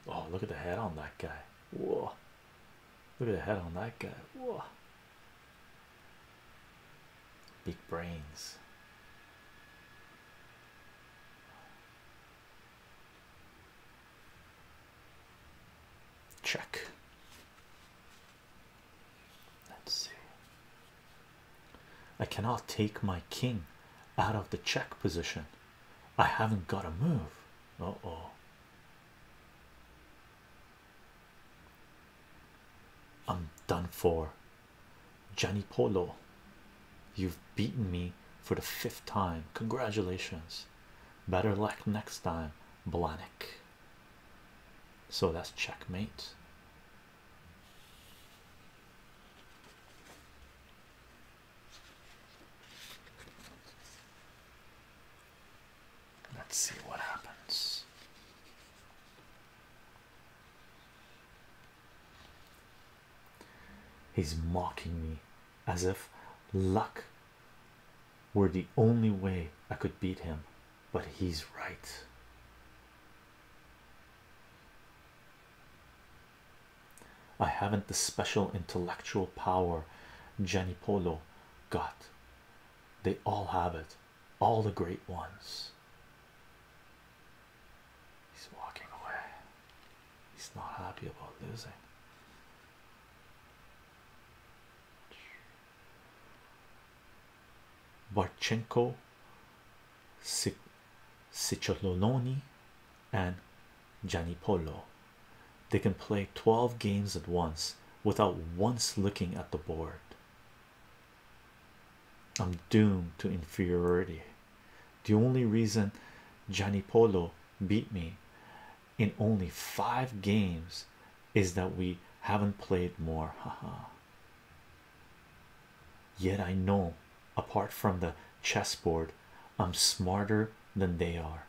[SPEAKER 2] Oh, look at the head on that guy. Whoa, look at the head on that guy. Whoa, big brains. Check. Let's see. I cannot take my king out of the check position. I haven't got a move. Uh oh. I'm done for. Gianni Polo, you've beaten me for the fifth time. Congratulations. Better luck next time, Blanik. So that's checkmate.
[SPEAKER 1] Let's see what happens.
[SPEAKER 2] He's mocking me as if luck were the only way I could beat him, but he's right. I haven't the special intellectual power Jenny Polo got. They all have it, all the great ones. He's walking away. He's not happy about losing. Barchenko, Ciccioloni, and Giannipolo. They can play 12 games at once without once looking at the board. I'm doomed to inferiority. The only reason Giannipolo beat me in only five games is that we haven't played more. Haha. Yet I know, apart from the chessboard, I'm smarter than they are.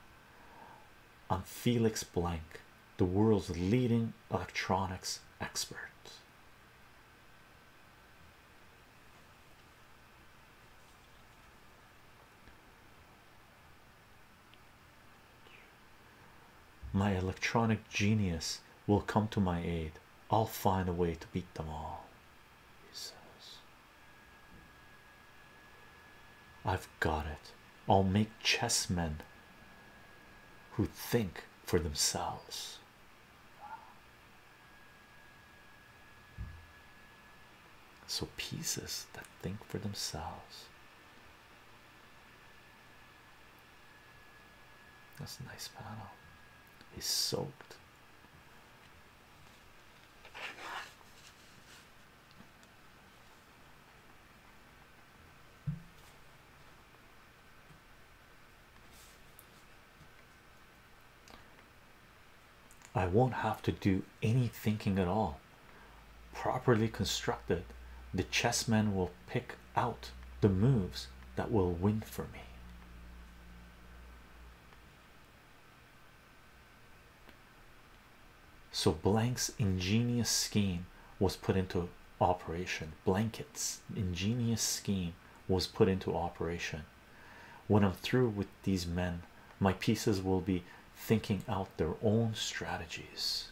[SPEAKER 2] I'm Felix Blank, the world's leading electronics expert. My electronic genius will come to my aid. I'll find a way to beat them all. He says, I've got it. I'll make chessmen who think for themselves. So, pieces that think for themselves. That's a nice panel. He's soaked. I won't have to do any thinking at all. Properly constructed, the chessmen will pick out the moves that will win for me. So, Blank's ingenious scheme was put into operation. Blanket's ingenious scheme was put into operation. When I'm through with these men, my pieces will be thinking out their own strategies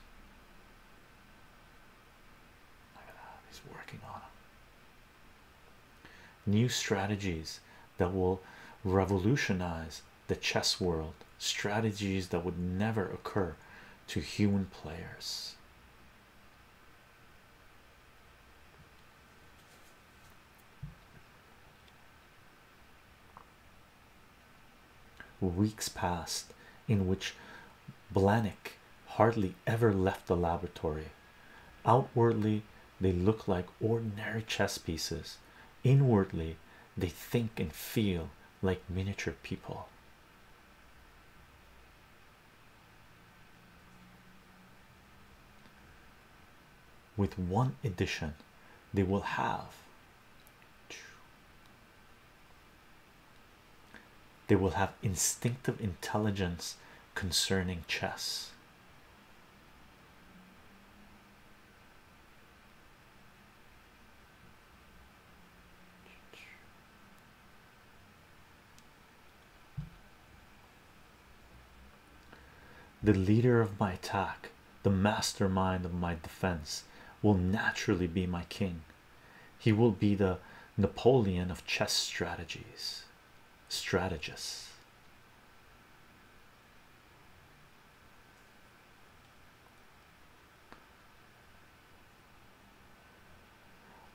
[SPEAKER 2] he's working on New strategies that will revolutionize the chess world, strategies that would never occur to human players. Weeks passed in which Blanik hardly ever left the laboratory. Outwardly, they look like ordinary chess pieces, inwardly, they think and feel like miniature people. With one addition, they will have they will have instinctive intelligence concerning chess. The leader of my attack, the mastermind of my defense, will naturally be my king. He will be the Napoleon of chess strategies, strategists.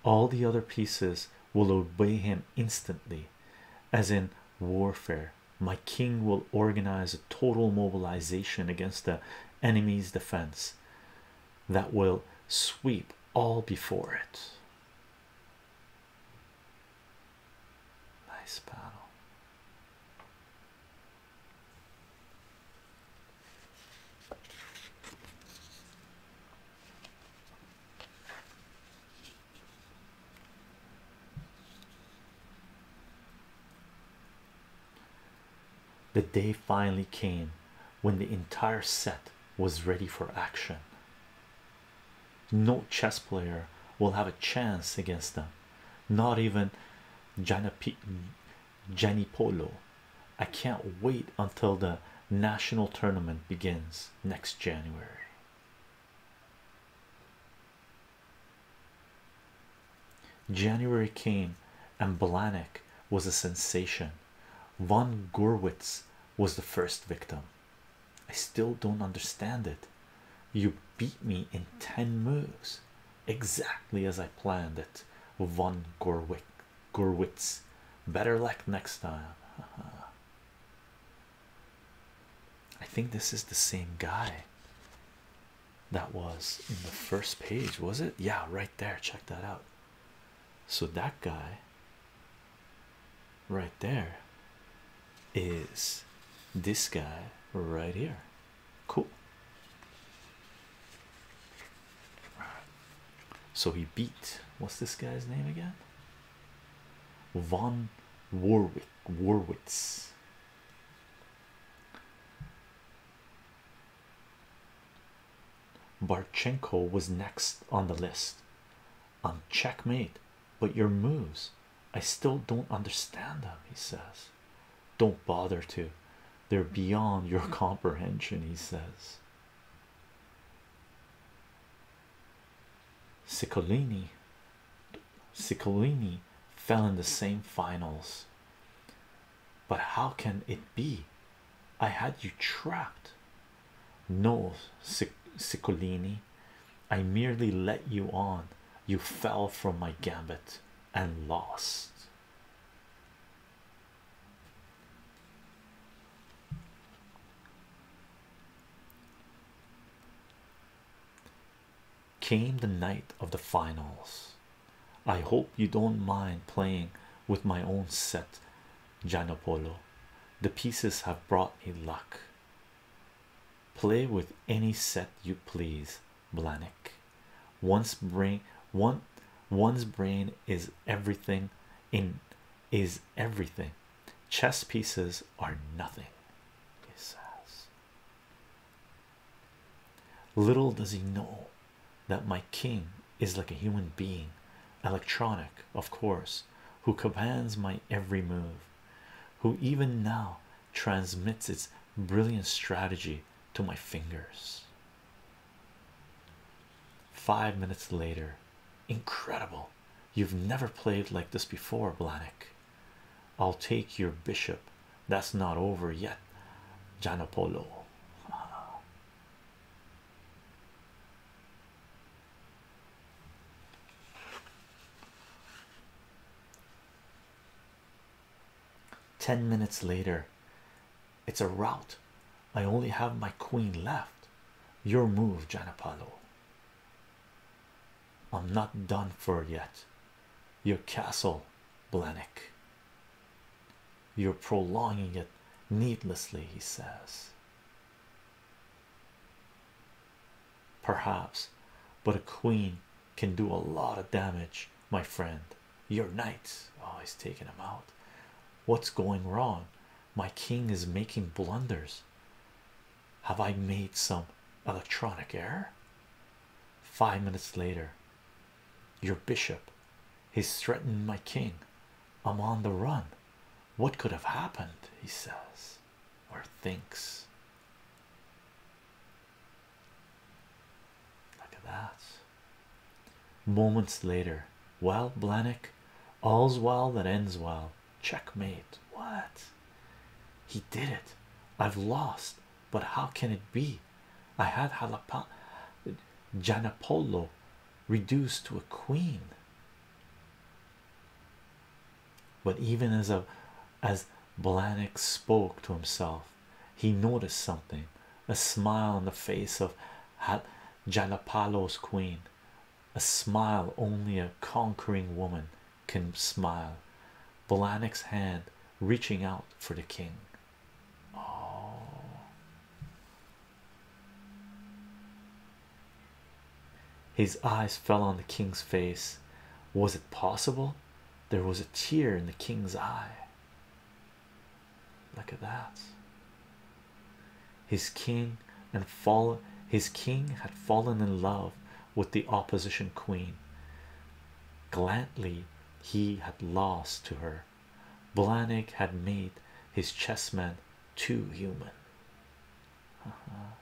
[SPEAKER 2] All the other pieces will obey him instantly, as in warfare. My king will organize a total mobilization against the enemy's defense that will sweep all before it. Nice paddle. The day finally came when the entire set was ready for action. No chess player will have a chance against them, not even Polo. I can't wait until the national tournament begins next January. January came and Blahnik was a sensation. Von Gurwitz was the first victim. I still don't understand it. You beat me in 10 moves exactly as I planned it. Von Gurwick Gurwitz. Better luck next time. I think this is the same guy that was in the first page, was it? Yeah, right there. Check that out. So that guy right there is this guy right here. Cool. So he beat what's this guy's name again? Von Warwick Warwick's. Barchenko was next on the list. I'm checkmate, but your moves, I still don't understand them, he says. Don't bother to, they're beyond your comprehension, he says. Ciccolini, Ciccolini fell in the same finals. But how can it be? I had you trapped. No, Sic Ciccolini, I merely let you on. You fell from my gambit and lost. Came the night of the finals. I hope you don't mind playing with my own set, Gianopolo. The pieces have brought me luck. Play with any set you please, Blanik. Once brain one one's brain is everything in is everything. Chess pieces are nothing, Little does he know that my king is like a human being, electronic, of course, who commands my every move, who even now transmits its brilliant strategy to my fingers. Five minutes later, incredible. You've never played like this before, Blanik. I'll take your bishop that's not over yet, Janopolo. Ten minutes later, it's a rout. I only have my queen left. Your move, Janopolo. I'm not done for yet. Your castle, Blanik. You're prolonging it needlessly, he says. Perhaps, but a queen can do a lot of damage, my friend. Your knights oh, he's taking him out. What's going wrong? My king is making blunders. Have I made some electronic error? Five minutes later, your bishop He's threatened my king. I'm on the run. What could have happened? He says, or thinks. Look at that. Moments later, well, Blanick, all's well that ends well. Checkmate. What? He did it. I've lost, but how can it be? I had Jalapa Janapolo reduced to a queen. But even as a as Blanik spoke to himself, he noticed something a smile on the face of Jalapalo's queen, a smile only a conquering woman can smile. Blanik's hand reaching out for the king. Oh. His eyes fell on the king's face. Was it possible? There was a tear in the king's eye. Look at that. His king and fall his king had fallen in love with the opposition queen. Gladly he had lost to her. Blanik had made his chessmen too human. Uh-huh.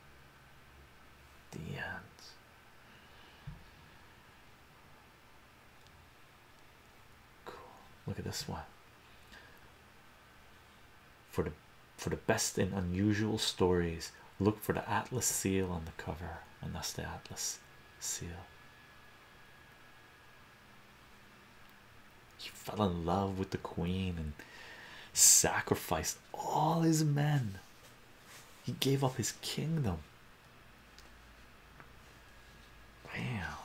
[SPEAKER 2] The end. Cool. Look at this one. For the for the best in unusual stories, look for the Atlas seal on the cover, and that's the Atlas seal. He fell in love with the queen and sacrificed all his men. He gave up his kingdom. Wow.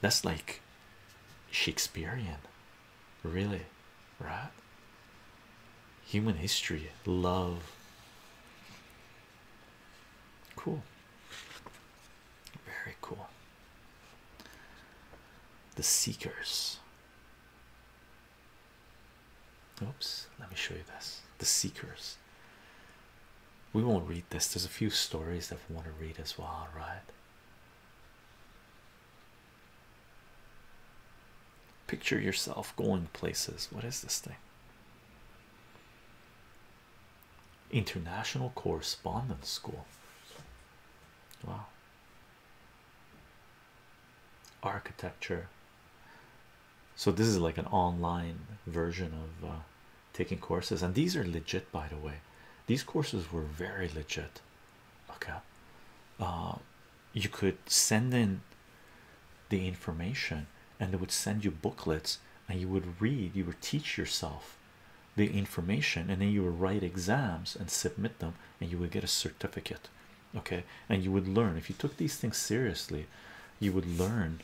[SPEAKER 2] That's like Shakespearean, really, right? Human history, love, Cool, very cool. The Seekers. Oops, let me show you this. The Seekers. We won't read this. There's a few stories that we want to read as well, right? Picture yourself going places. What is this thing? International Correspondence School. Wow. Architecture. So this is like an online version of uh, taking courses, and these are legit, by the way. These courses were very legit. Okay, uh, you could send in the information, and they would send you booklets and you would read, you would teach yourself the information, and then you would write exams and submit them, and you would get a certificate. Okay, and you would learn if you took these things seriously, you would learn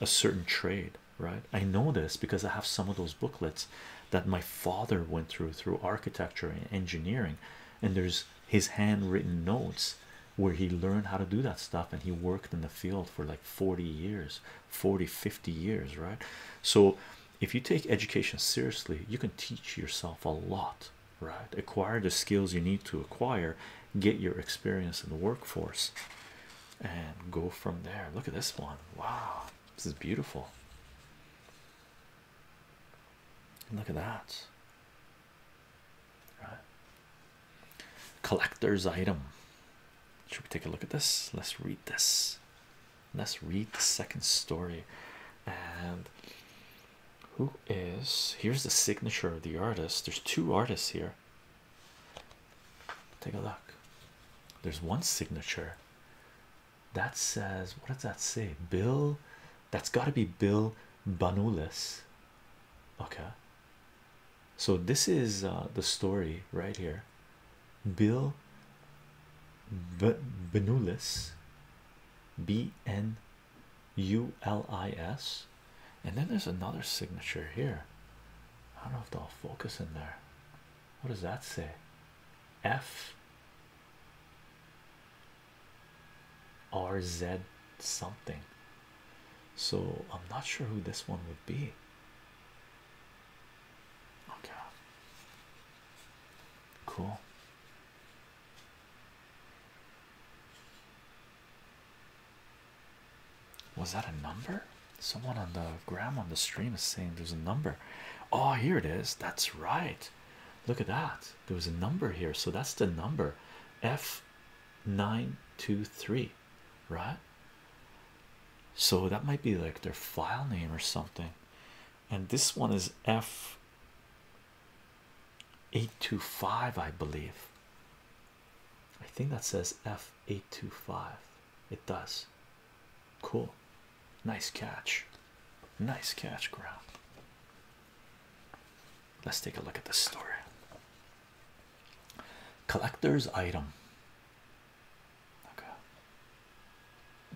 [SPEAKER 2] a certain trade, right? I know this because I have some of those booklets that my father went through through architecture and engineering, and there's his handwritten notes where he learned how to do that stuff and he worked in the field for like 40 years 40 50 years right so if you take education seriously you can teach yourself a lot right acquire the skills you need to acquire get your experience in the workforce and go from there look at this one wow this is beautiful look at that right collector's item. Should we take a look at this? Let's read this. Let's read the second story. And who is here's the signature of the artist? There's two artists here. Take a look. There's one signature that says, What does that say? Bill, that's got to be Bill Banulis. Okay, so this is uh, the story right here bill but benulis b n u l i s and then there's another signature here i don't know if they'll focus in there what does that say f r z something so i'm not sure who this one would be Okay. Cool. Was that a number? Someone on the gram on the stream is saying there's a number. Oh, here it is. That's right. Look at that. There was a number here. So that's the number F923 right? So that might be like their file name or something. And this one is F825, I believe. I think that says F825. It does. Cool. Nice catch. Nice catch, ground. Let's take a look at the story collector's item. Okay.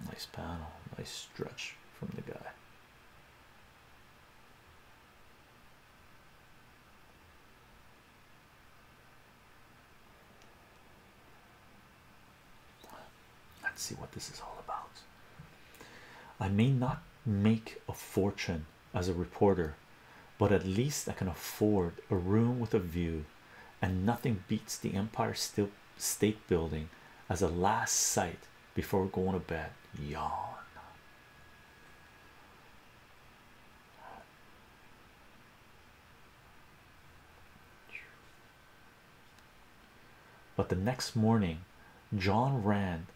[SPEAKER 2] Nice panel, nice stretch from the guy. Let's see what this is all about. I may not make a fortune as a reporter, but at least I can afford a room with a view, and nothing beats the Empire State Building as a last sight before going to bed. Yawn. But the next morning, John Rand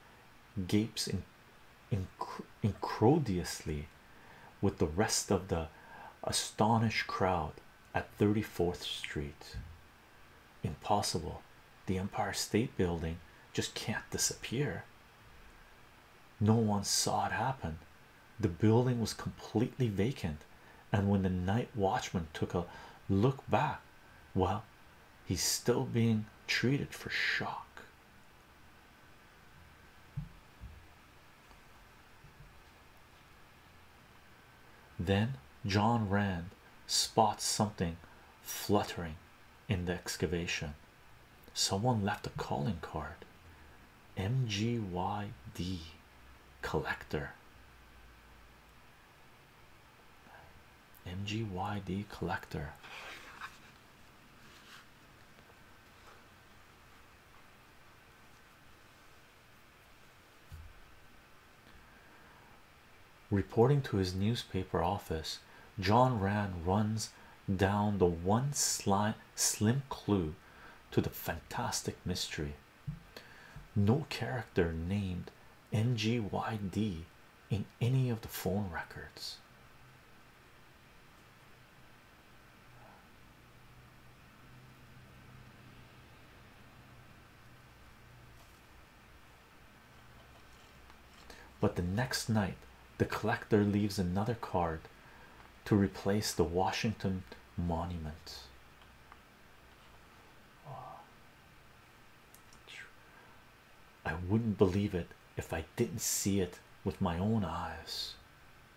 [SPEAKER 2] gapes in Incredulously, with the rest of the astonished crowd at 34th Street. Impossible. The Empire State Building just can't disappear. No one saw it happen. The building was completely vacant, and when the night watchman took a look back, well, he's still being treated for shock. Then John Rand spots something fluttering in the excavation. Someone left a calling card MGYD collector. MGYD collector. Reporting to his newspaper office, John Rand runs down the one slim clue to the fantastic mystery. No character named NGYD in any of the phone records. But the next night, the collector leaves another card to replace the Washington Monument. Ah. I wouldn't believe it if I didn't see it with my own eyes.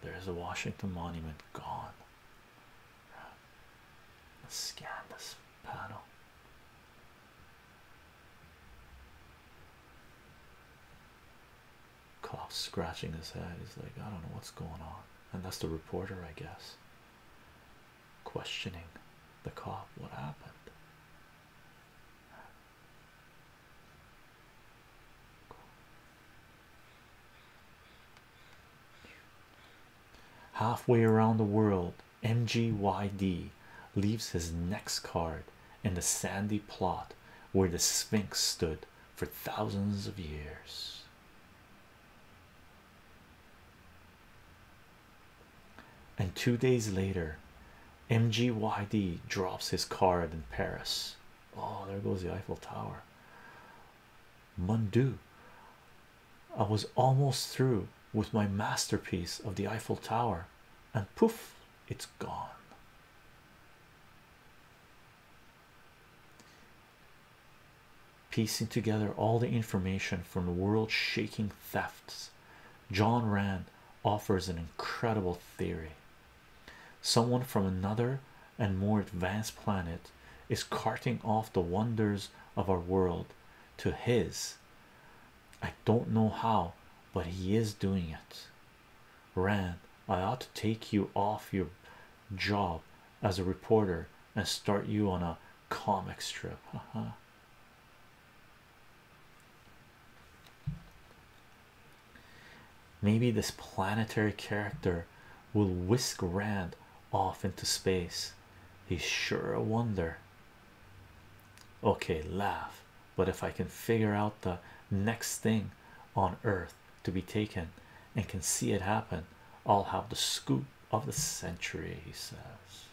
[SPEAKER 2] There's a Washington Monument gone. Let's scan this panel. Cop scratching his head. He's like, I don't know what's going on. And that's the reporter, I guess, questioning the cop. What happened? Halfway around the world, MGYD leaves his next card in the sandy plot where the Sphinx stood for thousands of years. And two days later, MGYD drops his card in Paris Oh, there goes the Eiffel Tower. Mundu. I was almost through with my masterpiece of the Eiffel Tower, and poof, it's gone. Piecing together all the information from the world shaking thefts, John Rand offers an incredible theory. Someone from another and more advanced planet is carting off the wonders of our world to his. I don't know how, but he is doing it. Rand, I ought to take you off your job as a reporter and start you on a comic strip. Uh-huh. Maybe this planetary character will whisk Rand off into space. He's sure a wonder. Okay, laugh. But if I can figure out the next thing on Earth to be taken and can see it happen, I'll have the scoop of the century, he says.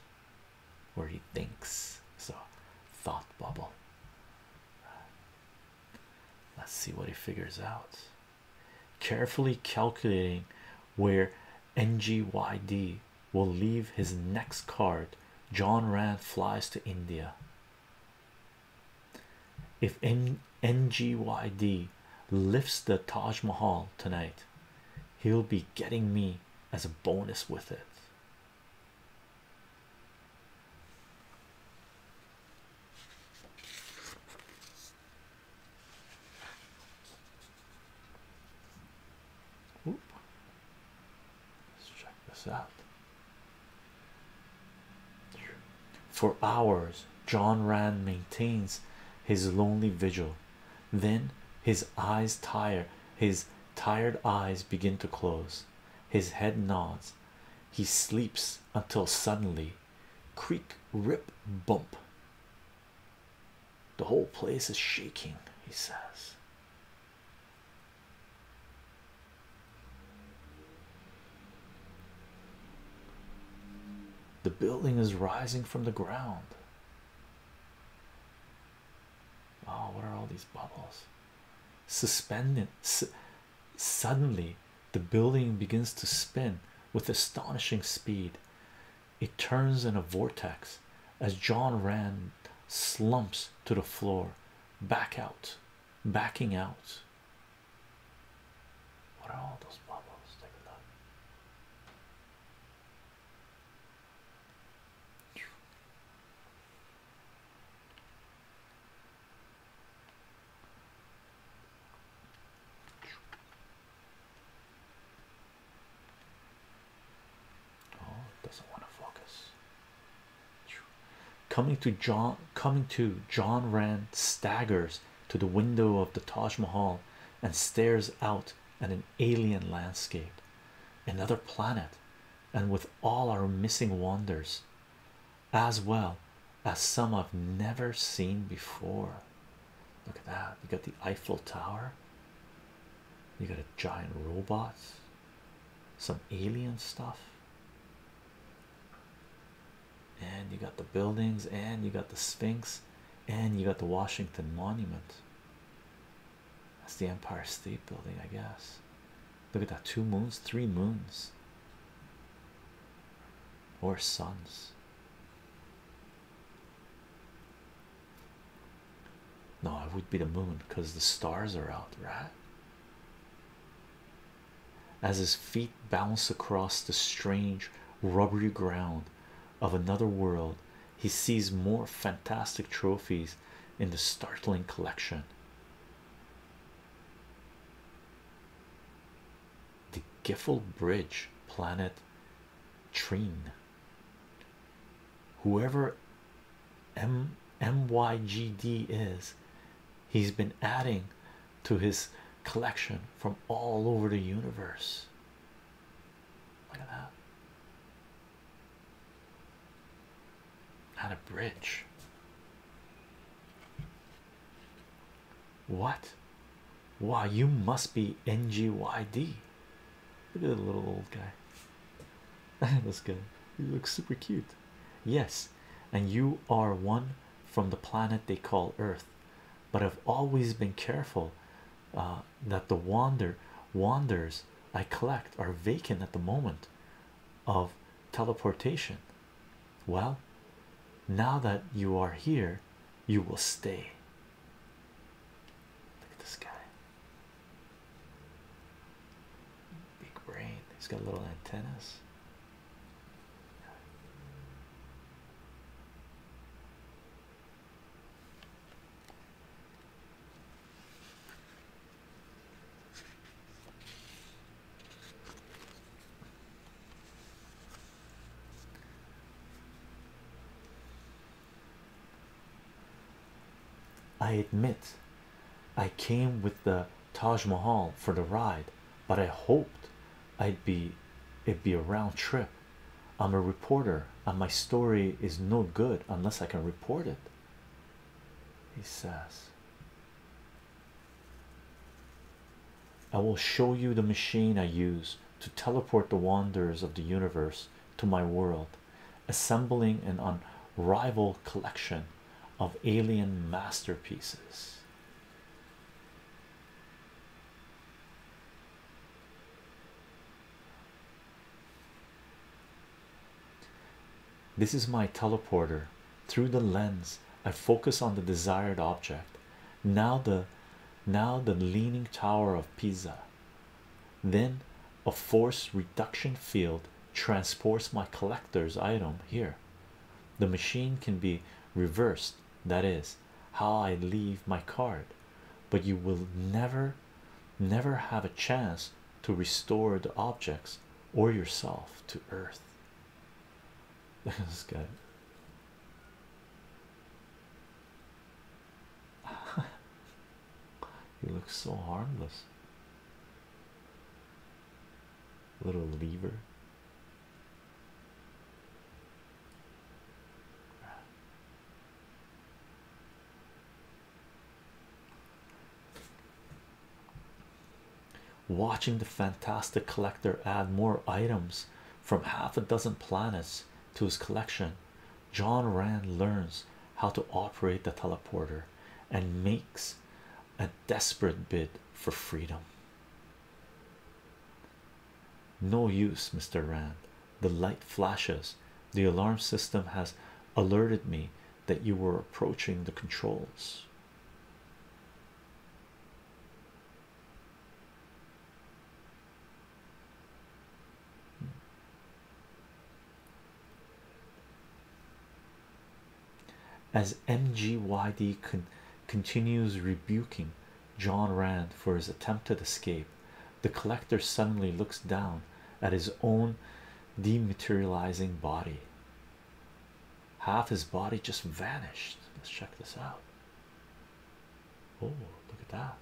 [SPEAKER 2] where he thinks so. Thought bubble. Let's see what he figures out. Carefully calculating where NGYD will leave his next card, John Rand flies to India. If NGYD lifts the Taj Mahal tonight, he'll be getting me as a bonus with it. Oop. Let's check this out. For hours, John Rand maintains his lonely vigil. Then his eyes tire, his tired eyes begin to close. His head nods, he sleeps until suddenly creak, rip, bump. The whole place is shaking, he says. The building is rising from the ground. Oh, what are all these bubbles? Suspended, Suddenly, the building begins to spin with astonishing speed. It turns in a vortex as John Rand slumps to the floor, back out, backing out.
[SPEAKER 1] What are all those bubbles?
[SPEAKER 2] Oh, doesn't want to focus. Coming to John, coming to John Rand staggers to the window of the Taj Mahal and stares out at an alien landscape, another planet, and with all our missing wonders as well as some I've never seen before. Look at that. You got the Eiffel Tower, you got a giant robot, some alien stuff, and you got the buildings, and you got the Sphinx, and you got the Washington Monument. That's the Empire State Building, I guess. Look at that two moons, three moons, or suns. No, it would be the moon because the stars are out, right? As his feet bounce across the strange, rubbery ground of another world, he sees more fantastic trophies in the startling collection the Giffel Bridge, planet Trine. Whoever M MYGD is, he's been adding to his collection from all over the universe. Look at that. Not a bridge. What? Why you must be NGYD. Look at the little old guy. That's good. You look super cute. Yes, and you are one from the planet they call Earth, but I've always been careful uh, that the wander wanders I collect are vacant at the moment of teleportation. Well, now that you are here, you will stay. Look at this guy. Big brain, he's got little antennas. I admit I came with the Taj Mahal for the ride, but I hoped I'd be it'd be a round trip. I'm a reporter, and my story is no good unless I can report it. He says, I will show you the machine I use to teleport the wonders of the universe to my world, assembling an unrivaled collection of alien masterpieces. This is my teleporter through the lens I focus on the desired object now the now the leaning tower of Pisa then a force reduction field transports my collector's item here the machine can be reversed that is how I leave my card but you will never never have a chance to restore the objects or yourself to earth this guy. he looks so harmless. Little lever. Watching the fantastic collector add more items from half a dozen planets to his collection, John Rand learns how to operate the teleporter and makes a desperate bid for freedom. No use, Mr. Rand. The light flashes. The alarm system has alerted me that you were approaching the controls. As MGYD continues rebuking John Rand for his attempted escape, the collector suddenly looks down at his own dematerializing body. Half his body just vanished. Let's check this out. Oh, look at that.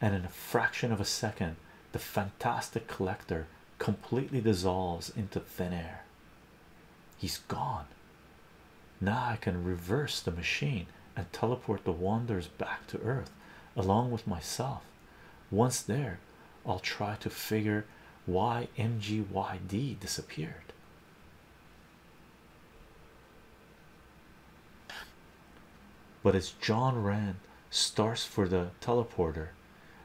[SPEAKER 2] And in a fraction of a second, the fantastic collector completely dissolves into thin air. He's gone. Now I can reverse the machine and teleport the wanderers back to Earth along with myself. Once there, I'll try to figure why MGYD disappeared. But as John Rand starts for the teleporter,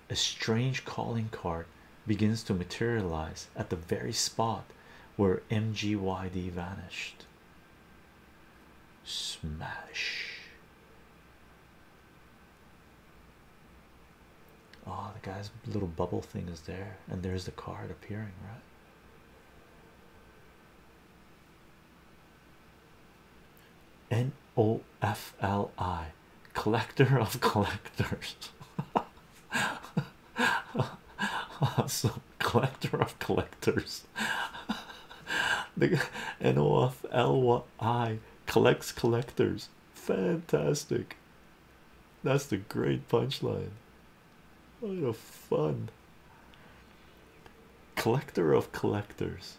[SPEAKER 2] a strange calling card begins to materialize at the very spot where MGYD vanished. Smash. Oh, the guy's little bubble thing is there, and there's the card appearing, right? N O F L I, collector of collectors. awesome collector of collectors. the NOFLY collects collectors. Fantastic. That's the great punchline. What a fun collector of collectors.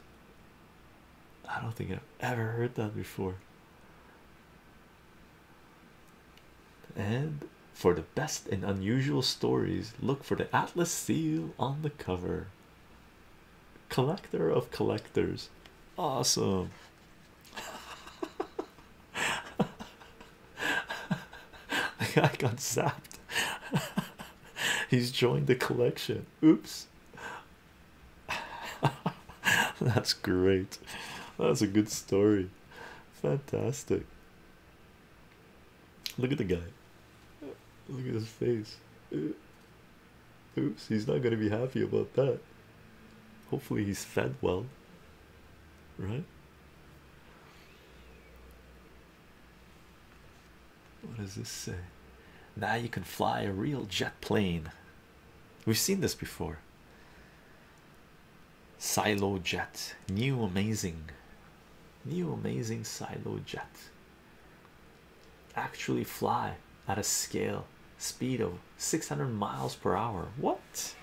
[SPEAKER 2] I don't think I've ever heard that before. And for the best and unusual stories, look for the Atlas seal on the cover. Collector of collectors, awesome. I got zapped. He's joined the collection. Oops. That's great. That's a good story. Fantastic. Look at the guy. Look at his face. Oops, he's not gonna be happy about that. Hopefully, he's fed well, right? What does this say? Now you can fly a real jet plane. We've seen this before silo jet new amazing new amazing silo jet actually fly at a scale speed of 600 miles per hour what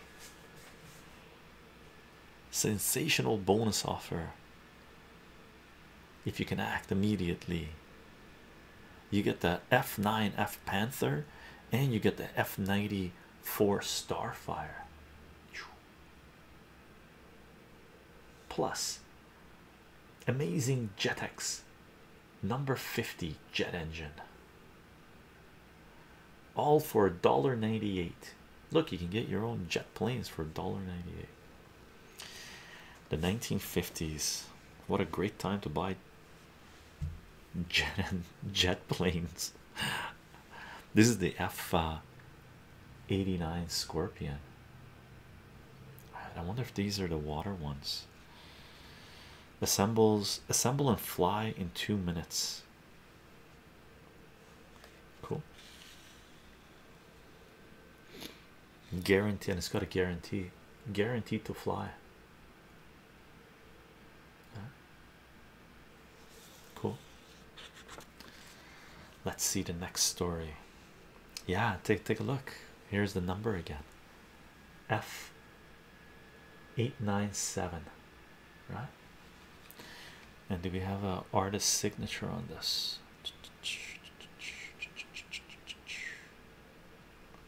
[SPEAKER 2] sensational bonus offer if you can act immediately you get the f9 f panther and you get the f 94 starfire plus amazing jetex number 50 jet engine all for a dollar 98 look you can get your own jet planes for a dollar 98 the 1950s what a great time to buy jet jet planes this is the F 89 Scorpion. I wonder if these are the water ones. Assembles, assemble and fly in two minutes. Cool. Guarantee, and it's got a guarantee. Guaranteed to fly. Cool. Let's see the next story. Yeah, take take a look. Here's the number again. F eight nine seven, right? And do we have a artist signature on this?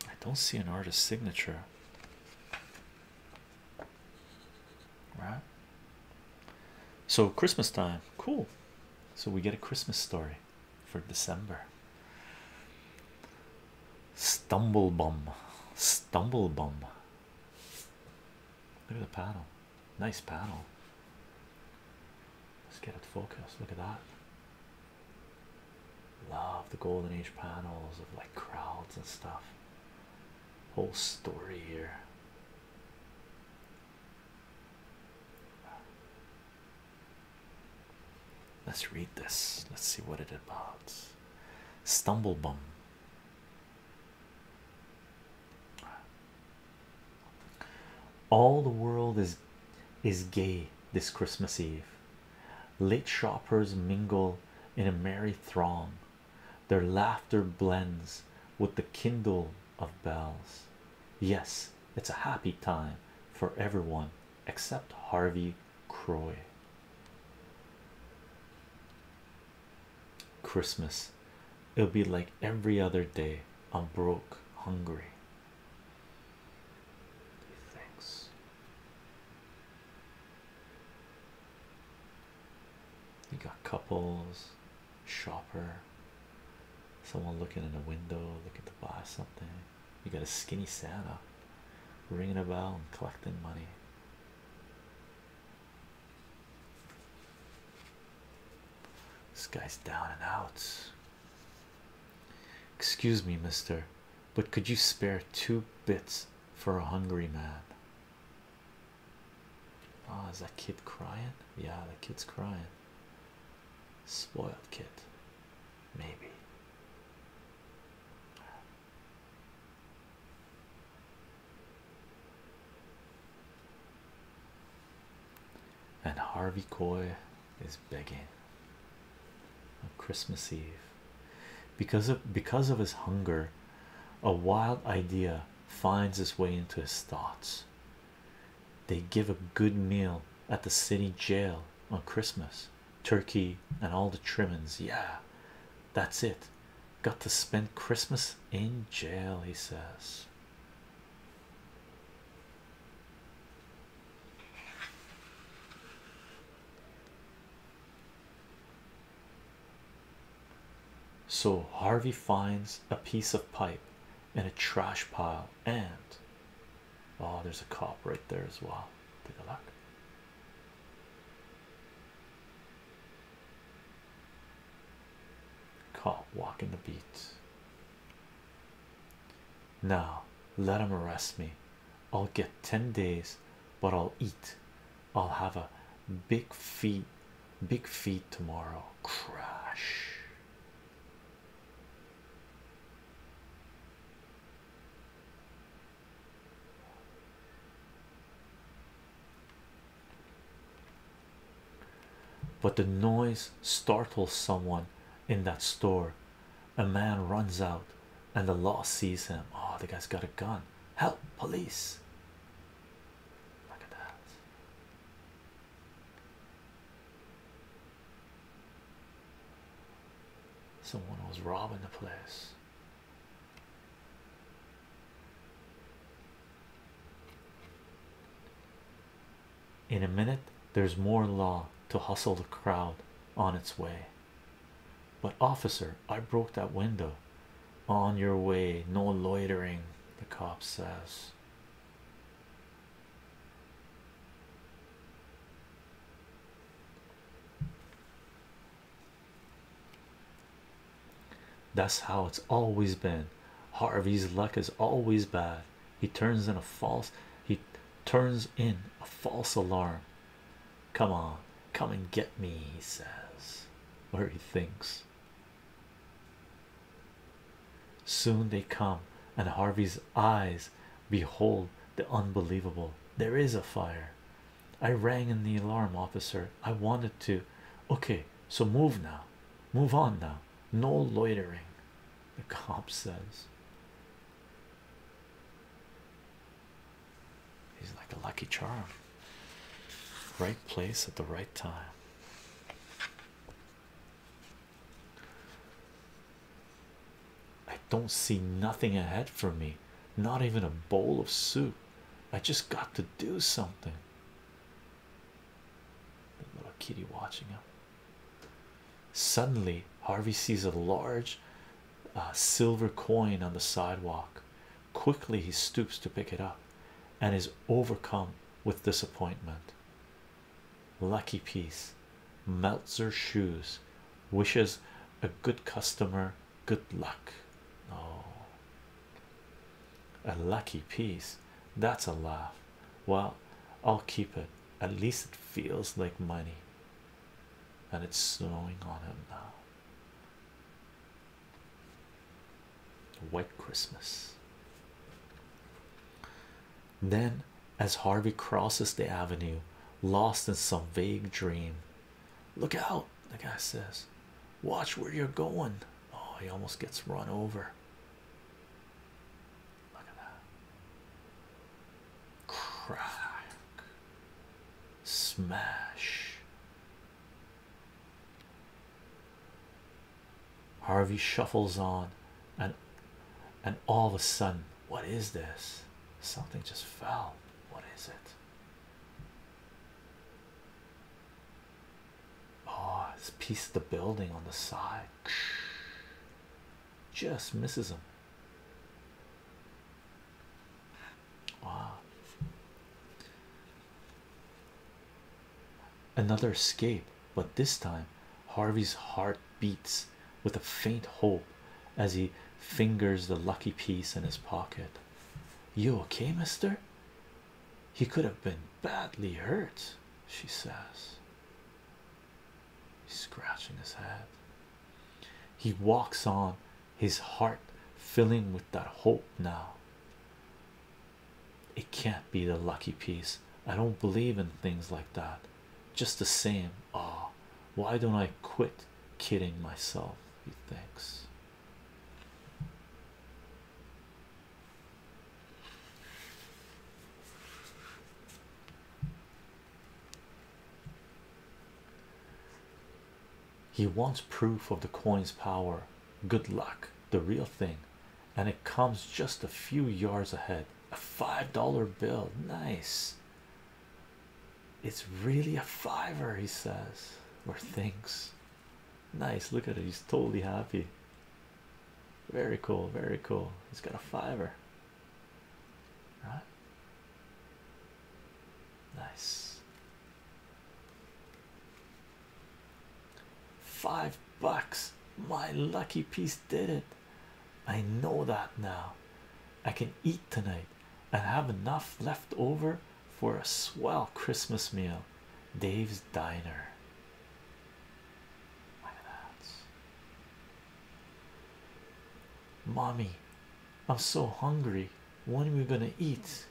[SPEAKER 2] I don't see an artist signature right? So, Christmas time, cool. So, we get a Christmas story for December. Stumble bum, stumble bum. Look at the panel. nice panel. Let's get it focused. Look at that. Love the golden age panels of like crowds and stuff. Whole story here. Let's read this. Let's see what it about. Stumblebum. All the world is is gay this Christmas Eve. Late shoppers mingle in a merry throng their laughter blends with the kindle of bells. Yes, it's a happy time for everyone except Harvey Croy. Christmas, it'll be like every other day. I'm broke, hungry. Thanks. You got couples shopper someone looking in a window looking to buy something you got a skinny Santa ringing a bell and collecting money this guy's down and out excuse me mister but could you spare two bits for a hungry man Ah, is that kid crying? Yeah, the kid's crying. Spoiled kid, maybe. And Harvey Coy is begging on Christmas Eve because of because of his hunger. A wild idea finds his way into his thoughts. They give a good meal at the city jail on Christmas, turkey, and all the trimmings. Yeah, that's it. Got to spend Christmas in jail, he says. So Harvey finds a piece of pipe in a trash pile, and oh, there's a cop right there as well. Take a look. Cop walking the beat. Now, let him arrest me. I'll get 10 days, but I'll eat. I'll have a big feet big feet tomorrow crash but the noise startles someone in that store a man runs out and the law sees him oh the guy's got a gun help police Look at that. Someone was robbing the place. In a minute, there's more law to hustle the crowd on its way. But, officer, I broke that window on your way, no loitering, the cop says. That's how it's always been. Harvey's luck is always bad. He turns in a false he turns in a false alarm. Come on, come and get me, he says. where he thinks Soon they come, and Harvey's eyes behold the unbelievable. There is a fire. I rang in the alarm officer. I wanted to. Okay, so move now. Move on now. No loitering, the cop says. He's like a lucky charm. Right place at the right time. I don't see nothing ahead for me, not even a bowl of soup. I just got to do something. The little kitty watching him. Suddenly, Harvey sees a large uh, silver coin on the sidewalk. Quickly he stoops to pick it up and is overcome with disappointment. Lucky piece melts her shoes wishes a good customer good luck. Oh, a lucky piece that's a laugh. Well, I'll keep it. At least it feels like money. And it's snowing on him now. White Christmas. Then, as Harvey crosses the avenue, lost in some vague dream, look out, the guy says, Watch where you're going. Oh, he almost gets run over. Look at that. Crack, smash. Harvey shuffles on, and and all of a sudden, what is this? Something just fell. What is it? Oh, it's piece of the building on the side. Just misses him. Wow. Another escape, but this time Harvey's heart beats with a faint hope as he fingers the lucky piece in his pocket. You okay, mister? He could have been badly hurt, she says. He's scratching his head. He walks on, his heart filling with that hope now. It can't be the lucky piece. I don't believe in things like that. Just the same. Ah, why don't I quit kidding myself? He thinks. He wants proof of the coin's power good luck the real thing and it comes just a few yards ahead a five dollar bill nice it's really a fiver he says or thinks nice look at it he's totally happy very cool very cool he's got a fiver right nice Five bucks. My lucky piece did it. I know that now. I can eat tonight and have enough left over for a swell Christmas meal. Dave's Diner. Look at Mommy, I'm so hungry. When are we gonna eat?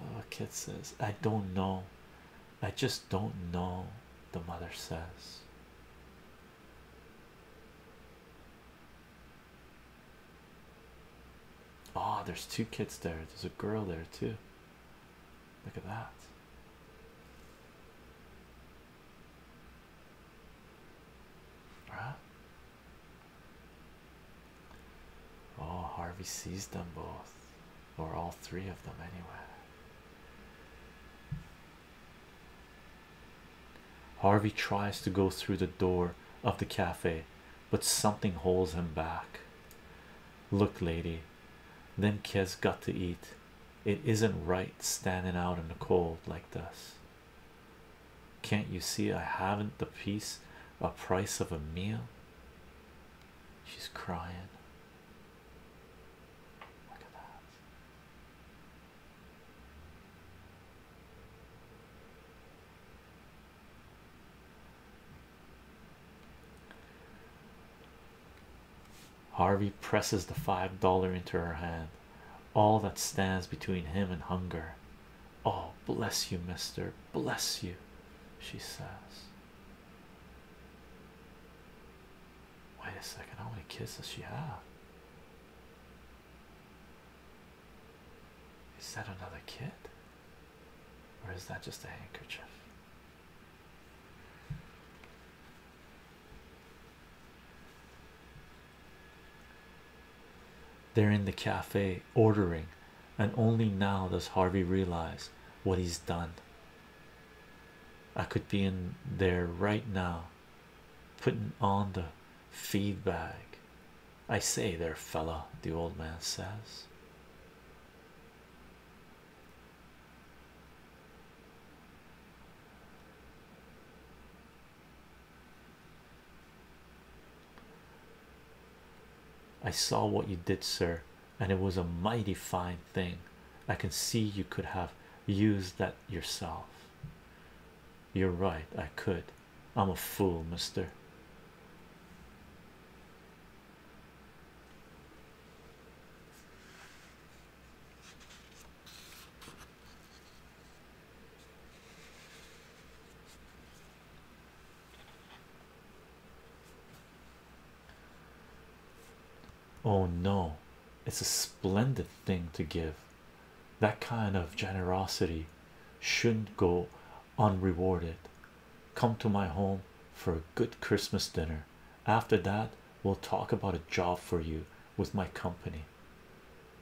[SPEAKER 2] Oh, kid says, I don't know. I just don't know, the mother says. Oh, there's two kids there. There's a girl there, too. Look at that. Right? Oh, Harvey sees them both or all three of them anywhere. Harvey tries to go through the door of the cafe, but something holds him back. Look, lady, them kids got to eat. It isn't right standing out in the cold like this. Can't you see I haven't the piece a price of a meal? She's crying. Look at that. Harvey presses the five dollar into her hand, all that stands between him and hunger. Oh, bless you, mister, bless you, she says. Wait a second, how many kids does she have? Is that another kid? Or is that just a handkerchief? They're in the cafe ordering and only now does Harvey realize what he's done. I could be in there right now, putting on the feed bag. I say, there, fella, the old man says. I saw what you did, sir, and it was a mighty fine thing. I can see you could have used that yourself. You're right, I could. I'm a fool, mister. Oh no, it's a splendid thing to give. That kind of generosity shouldn't go unrewarded. Come to my home for a good Christmas dinner. After that, we'll talk about a job for you with my company.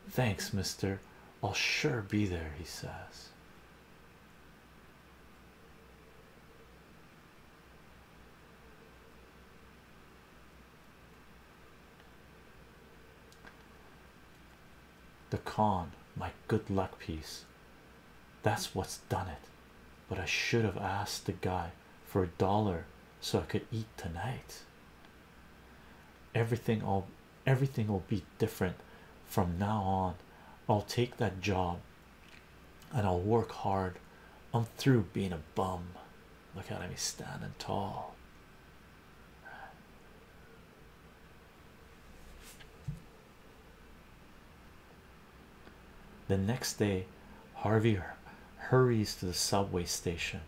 [SPEAKER 2] Thanks, mister. I'll sure be there, he says. The con, my good luck piece. That's what's done it. But I should have asked the guy for a dollar so I could eat tonight. Everything will everything will be different from now on. I'll take that job and I'll work hard. I'm through being a bum. Look at me standing tall. The next day, Harvey hurries to the subway station.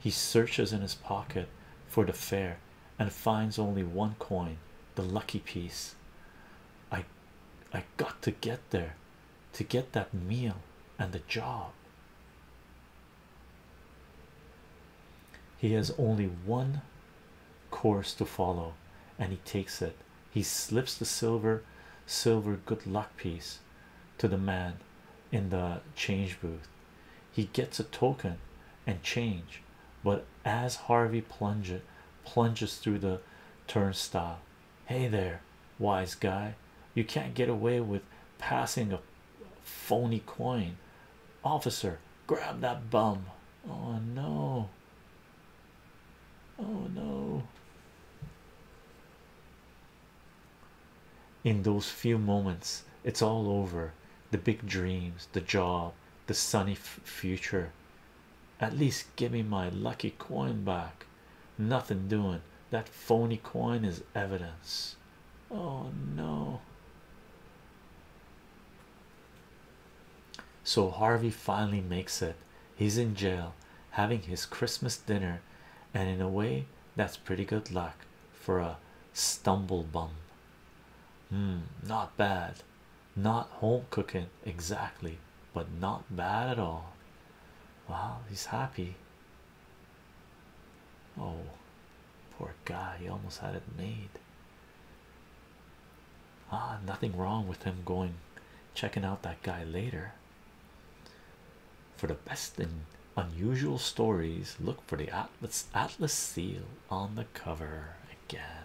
[SPEAKER 2] He searches in his pocket for the fare and finds only one coin, the lucky piece. I I got to get there to get that meal and the job. He has only one course to follow, and he takes it. He slips the silver, silver good luck piece to the man in the change booth. He gets a token and change, but as Harvey plunges plunges through the turnstile hey there wise guy you can't get away with passing a phony coin officer grab that bum oh no oh no in those few moments it's all over the big dreams the job the sunny future at least give me my lucky coin back. Nothing doing. That phony coin is evidence. Oh no. So Harvey finally makes it. He's in jail having his Christmas dinner, and in a way, that's pretty good luck for a stumblebum. bum. Hmm, not bad. Not home cooking exactly, but not bad at all. Wow, he's happy. Oh, poor guy, he almost had it made. Ah, nothing wrong with him going checking out that guy later. For the best and unusual stories, look for the Atlas Atlas seal on the cover again.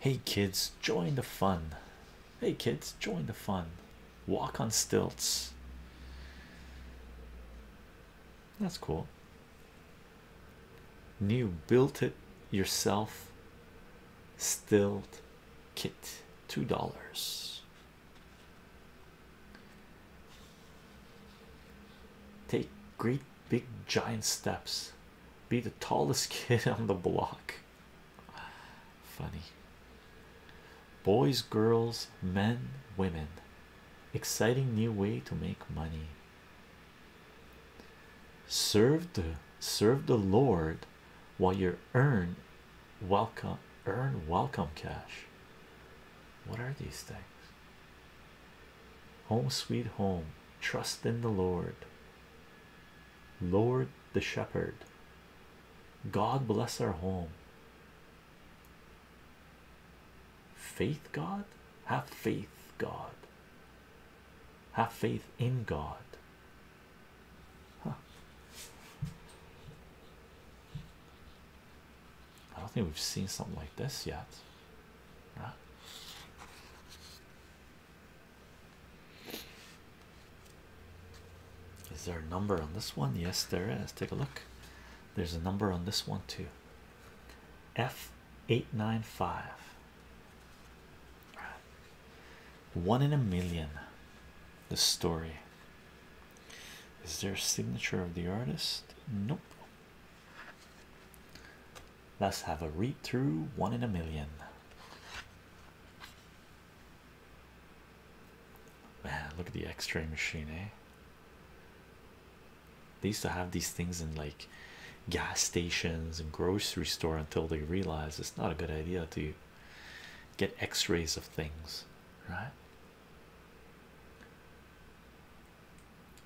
[SPEAKER 2] Hey kids, join the fun. Hey kids, join the fun. Walk on stilts. That's cool. New built it yourself. Stilt kit two dollars. Take great big giant steps, be the tallest kid on the block. Funny boys, girls, men, women, exciting new way to make money. Serve the serve the Lord while you earn welcome earn welcome cash what are these things? Home sweet home, trust in the Lord, Lord the Shepherd. God bless our home. Faith, God, have faith, God, have faith in God. I don't think we've seen something like this yet. Is there a number on this one? Yes, there is. Take a look. There's a number on this one too. F eight nine five. One in a million. The story. Is there a signature of the artist? Nope. Let's have a read through one in a million. Man, look at the x ray machine, eh? They used to have these things in like gas stations and grocery store until they realized it's not a good idea to get x rays of things, right?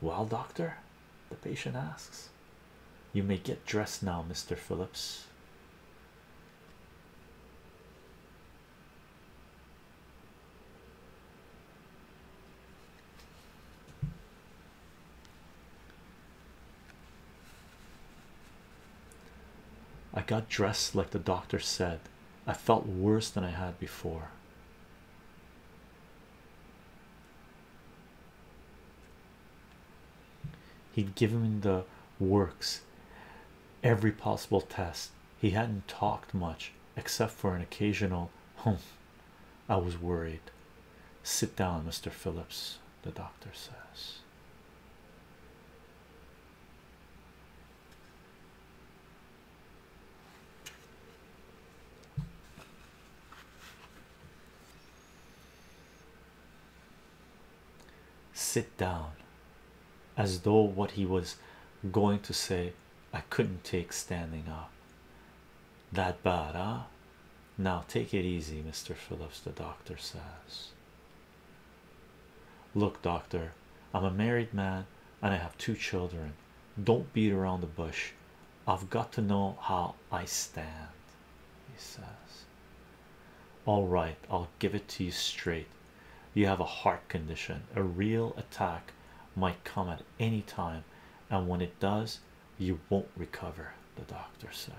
[SPEAKER 2] Well, doctor, the patient asks, You may get dressed now, Mr. Phillips. I got dressed like the doctor said. I felt worse than I had before. He'd given him the works every possible test. He hadn't talked much except for an occasional hum. I was worried. Sit down, Mr. Phillips, the doctor says. Sit down, as though what he was going to say I couldn't take standing up. That bad, huh? Now take it easy, Mr. Phillips. The doctor says, Look, doctor, I'm a married man and I have two children. Don't beat around the bush. I've got to know how I stand, he says. All right, I'll give it to you straight. You have a heart condition. A real attack might come at any time, and when it does, you won't recover, the doctor says.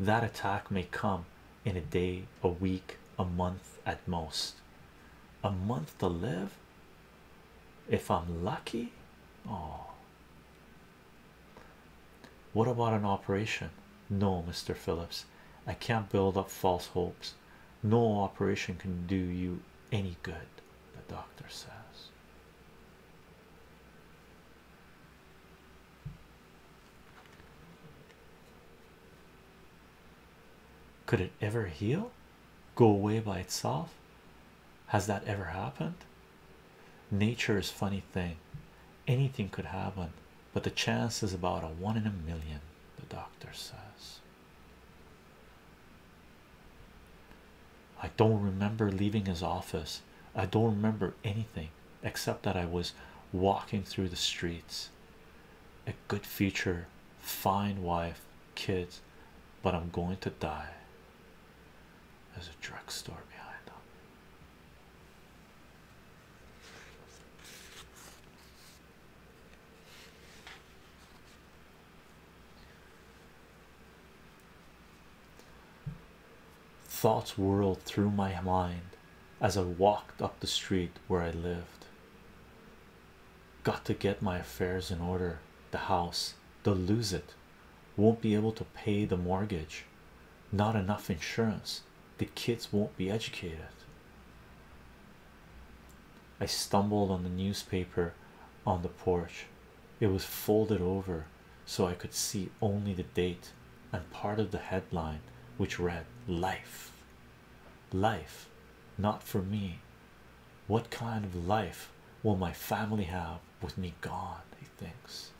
[SPEAKER 2] That attack may come in a day, a week, a month at most. A month to live if I'm lucky. Oh, what about an operation? No, Mr. Phillips, I can't build up false hopes. No operation can do you any good, the doctor says. Could it ever heal? Go away by itself? Has that ever happened? Nature is funny thing. Anything could happen, but the chance is about a one in a million, the doctor says. I don't remember leaving his office. I don't remember anything except that I was walking through the streets. A good future, fine wife, kids, but I'm going to die. There's a drugstore behind them. Thoughts whirled through my mind as I walked up the street where I lived. Got to get my affairs in order. The house, they'll lose it. Won't be able to pay the mortgage. Not enough insurance. The kids won't be educated. I stumbled on the newspaper on the porch it was folded over so I could see only the date and part of the headline, which read, Life, life, not for me. What kind of life will my family have with me gone? He thinks.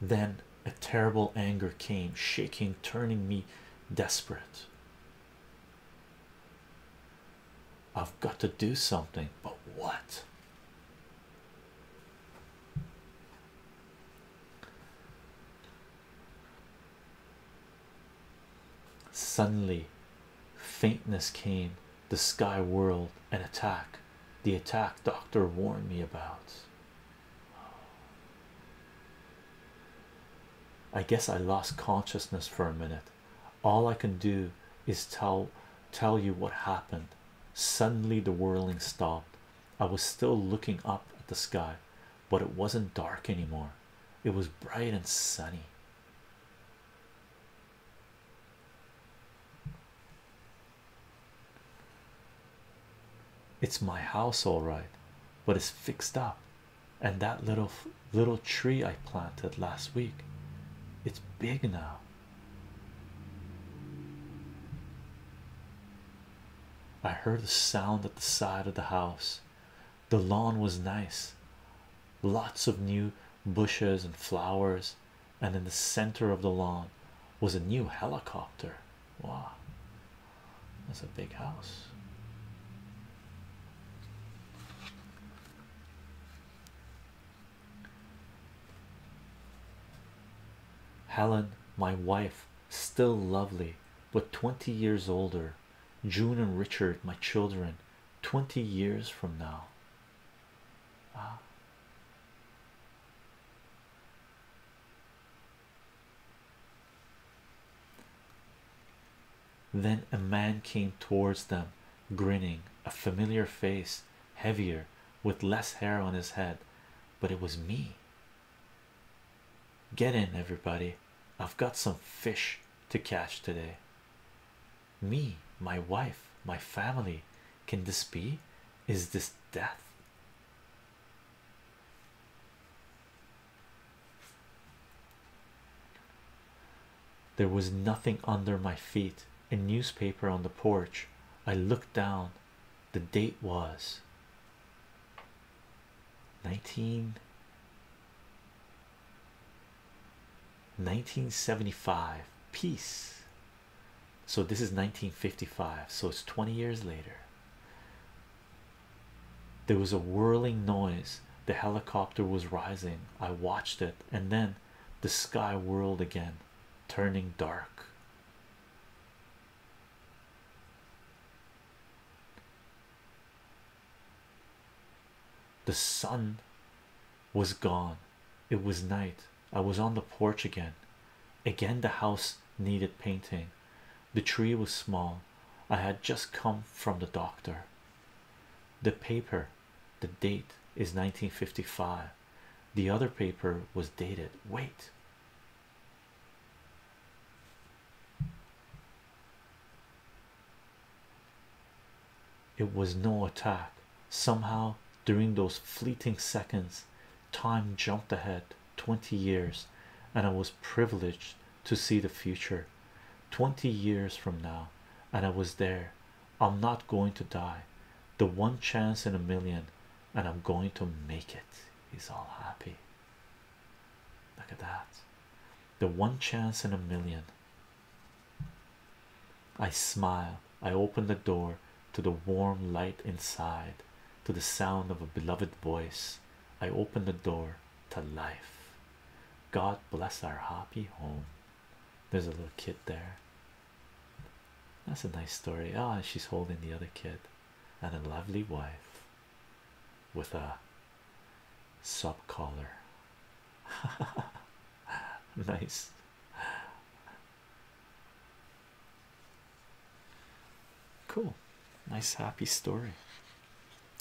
[SPEAKER 2] Then a terrible anger came, shaking, turning me desperate. I've got to do something, but what? Suddenly, faintness came, the sky whirled, an attack. The attack doctor warned me about. I guess I lost consciousness for a minute all I can do is tell tell you what happened. Suddenly the whirling stopped. I was still looking up at the sky, but it wasn't dark anymore. It was bright and sunny. It's my house, all right, but it's fixed up, and that little little tree I planted last week, it's big now. I heard a sound at the side of the house. The lawn was nice, lots of new bushes and flowers, and in the center of the lawn was a new helicopter. Wow, that's a big house. Helen, my wife, still lovely, but 20 years older. June and Richard, my children, 20 years from now. Wow. Ah. Then a man came towards them, grinning, a familiar face, heavier with less hair on his head, but it was me. Get in, everybody. I've got some fish to catch today. Me, my wife, my family. Can this be? Is this death? There was nothing under my feet, a newspaper on the porch. I looked down, the date was 1975 peace so this is 1955 so it's 20 years later there was a whirling noise the helicopter was rising i watched it and then the sky whirled again turning dark. The sun was gone, it was night. I was on the porch again. Again, the house needed painting. The tree was small. I had just come from the doctor. The paper the date is 1955 the other paper was dated wait it was no attack somehow during those fleeting seconds time jumped ahead 20 years and i was privileged to see the future 20 years from now and i was there I'm not going to die. The one chance in a million, and I'm going to make it. He's all happy. Look at that. The one chance in a million. I smile. I open the door to the warm light inside, to the sound of a beloved voice. I open the door to life. God bless our happy home. There's a little kid there. That's a nice story. Ah, she's holding the other kid and a lovely wife with a sub collar. nice. Cool. Nice, happy story.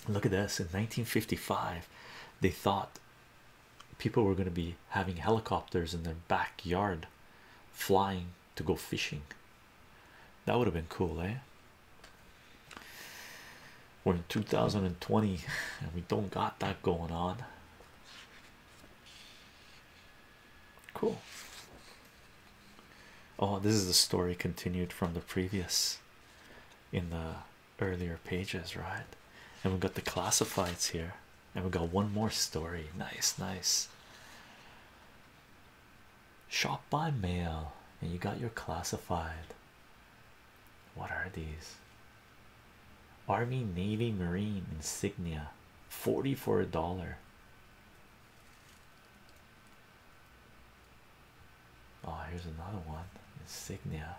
[SPEAKER 2] Look at this in 1955. They thought people were going to be having helicopters in their backyard flying to go fishing. That would have been cool, eh? We're in 2020 and we don't got that going on. Cool. Oh, this is the story continued from the previous in the earlier pages, right? And we've got the classifieds here and we got one more story. Nice, nice. Shop by mail, and you got your classified. What are these? Army, Navy, Marine insignia, forty for a dollar. Oh, here's another one insignia.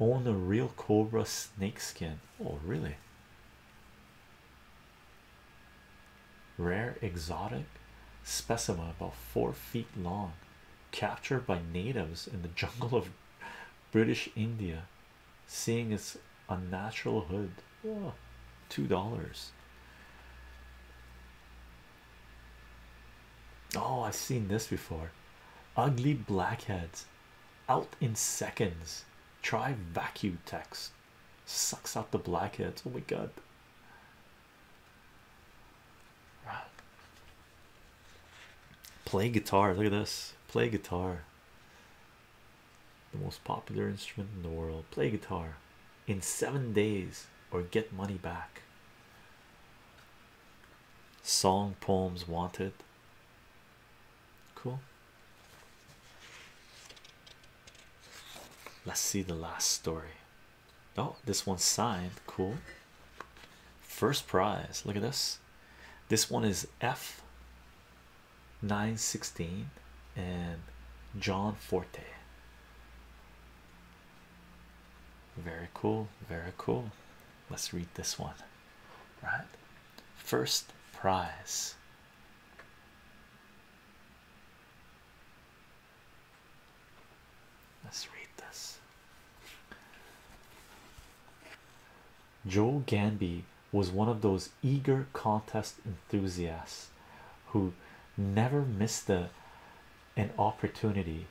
[SPEAKER 2] Own a real cobra snakeskin. Oh, really? Rare exotic specimen about four feet long, captured by natives in the jungle of British India, seeing its unnatural hood. Oh, two dollars. Oh, I've seen this before. Ugly blackheads out in seconds. Try vacuum text sucks out the blackheads. Oh my god. Play guitar. Look at this. Play guitar. The most popular instrument in the world. Play guitar in seven days or get money back. Song poems wanted. Cool. Let's see the last story. Oh, this one's signed. Cool. First prize. Look at this. This one is F. 916 and John Forte. Very cool, very cool. Let's read this one, right? first prize. Let's read this. Joe Ganby was one of those eager contest enthusiasts who never missed an opportunity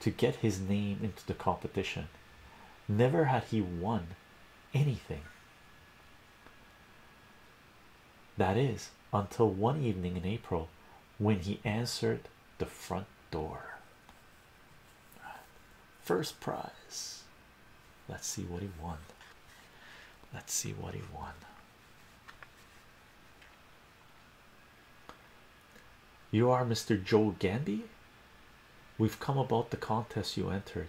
[SPEAKER 2] to get his name into the competition. Never had he won anything. That is until one evening in April when he answered the front door. First prize. Let's see what he won. Let's see what he won. You are Mr. Joe Gandy? We've come about the contest you entered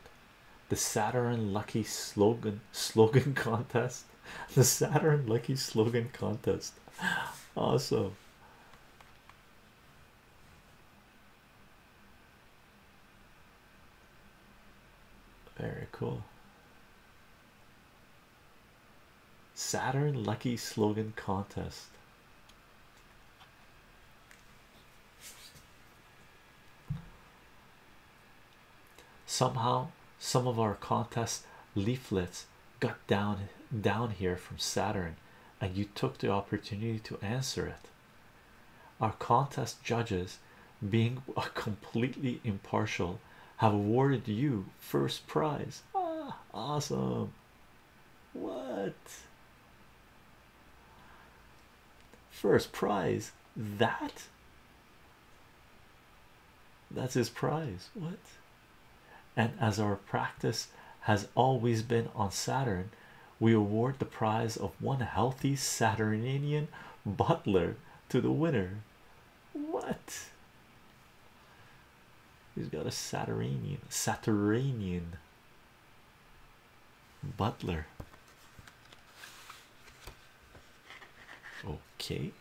[SPEAKER 2] the Saturn Lucky slogan slogan contest. The Saturn Lucky slogan contest. Awesome. Very cool. Saturn Lucky slogan contest. Somehow, some of our contest leaflets got down down here from Saturn, and you took the opportunity to answer it. Our contest judges, being completely impartial, have awarded you first prize. Ah, awesome! What? First prize. That? That's his prize. What? And as our practice has always been on Saturn, we award the prize of one healthy Saturnian butler to the winner.
[SPEAKER 1] What?
[SPEAKER 2] He's got a Saturnian, Saturnian Butler. Okay.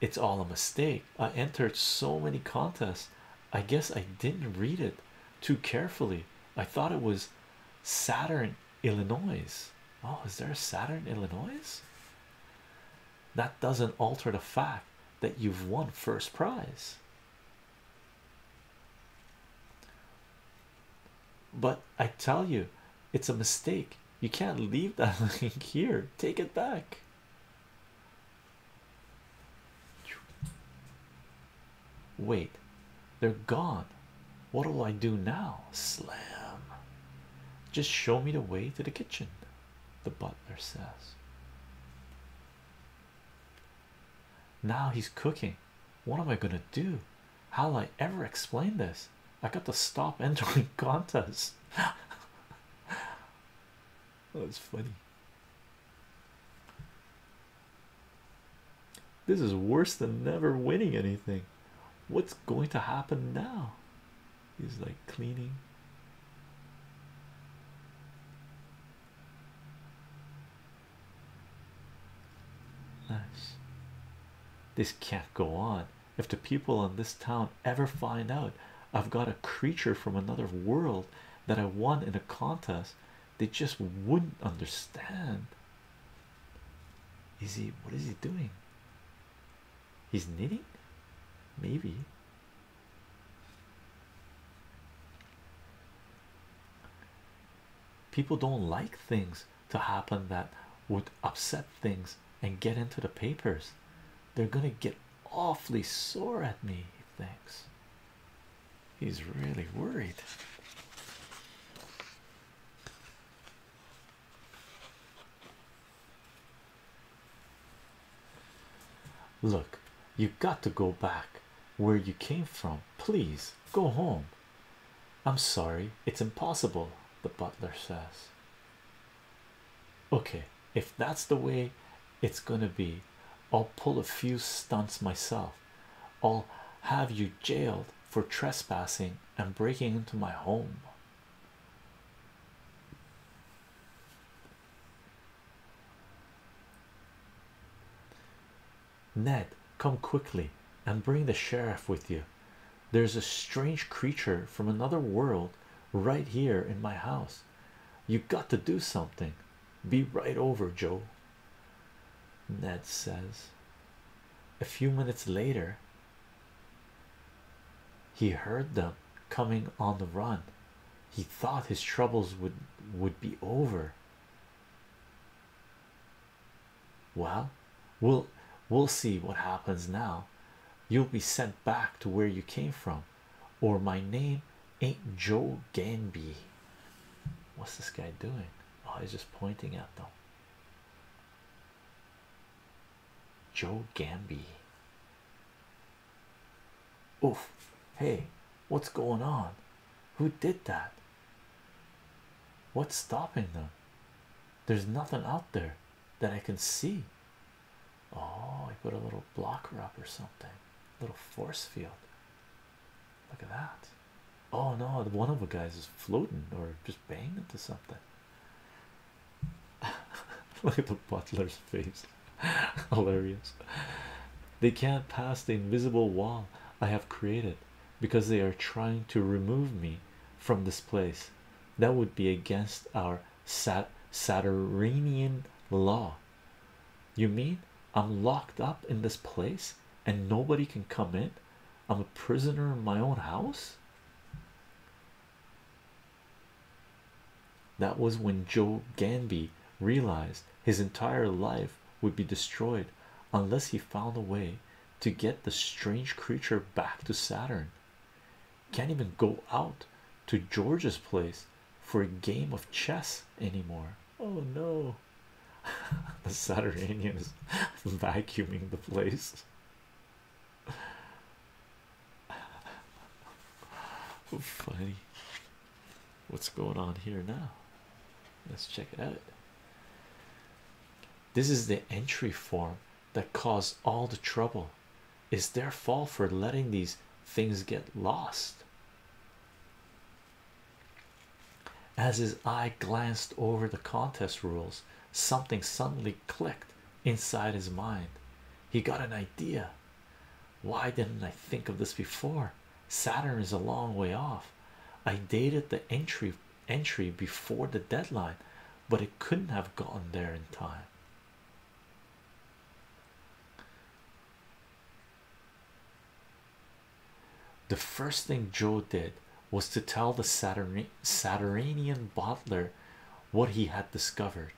[SPEAKER 2] It's all a mistake. I entered so many contests. I guess I didn't read it too carefully. I thought it was Saturn, Illinois. Oh, is there a Saturn, Illinois? That doesn't alter the fact that you've won first prize. But I tell you, it's a mistake. You can't leave that link here. Take it back. Wait, they're gone. What will I do now? Slam. Just show me the way to the kitchen the butler says. Now he's cooking. What am I gonna do? How'll I ever explain this? I got to stop entering contests. That's funny. This is worse than never winning anything. What's going to happen now? He's like cleaning. Nice. This can't go on. If the people in this town ever find out I've got a creature from another world that I won in a contest, they just wouldn't understand. Is he what is he doing? He's knitting, maybe. People don't like things to happen that would upset things and get into the papers. They're gonna get awfully sore at me. He thinks he's really worried. Look, you've got to go back where you came from. Please go home. I'm sorry, it's impossible, the butler says. Okay, if that's the way it's gonna be, I'll pull a few stunts myself. I'll have you jailed for trespassing and breaking into my home. Ned, come quickly and bring the sheriff with you. There's a strange creature from another world right here in my house. You've got to do something. Be right over, Joe. Ned says. A few minutes later, he heard them coming on the run. He thought his troubles would would be over. Well, we'll we'll see what happens now. You'll be sent back to where you came from, or my name ain't Joe Ganby. What's this guy doing? Oh, he's just pointing at them. Joe Gamby. Oof, hey, what's going on? Who did that? What's stopping them? There's nothing out there that I can see. Oh, I put a little blocker up or something, little force field. Look at that. Oh no, one of the guys is floating or just banging into something. Look at the butler's face. hilarious they can't pass the invisible wall i have created because they are trying to remove me from this place that would be against our sat saturnian law you mean i'm locked up in this place and nobody can come in i'm a prisoner in my own house that was when Joe Ganby realized his entire life would be destroyed unless he found a way to get the strange creature back to Saturn. Can't even go out to George's place for a game of chess anymore.
[SPEAKER 1] Oh no,
[SPEAKER 2] the Saturnian is vacuuming the place. Funny. What's going on here now? Let's check it out. This is the entry form that caused all the trouble. It's their fault for letting these things get lost. As his eye glanced over the contest rules, something suddenly clicked inside his mind. He got an idea. Why didn't I think of this before? Saturn is a long way off. I dated the entry entry before the deadline, but it couldn't have gotten there in time. The first thing Joe did was to tell the Saturnian Butler what he had discovered.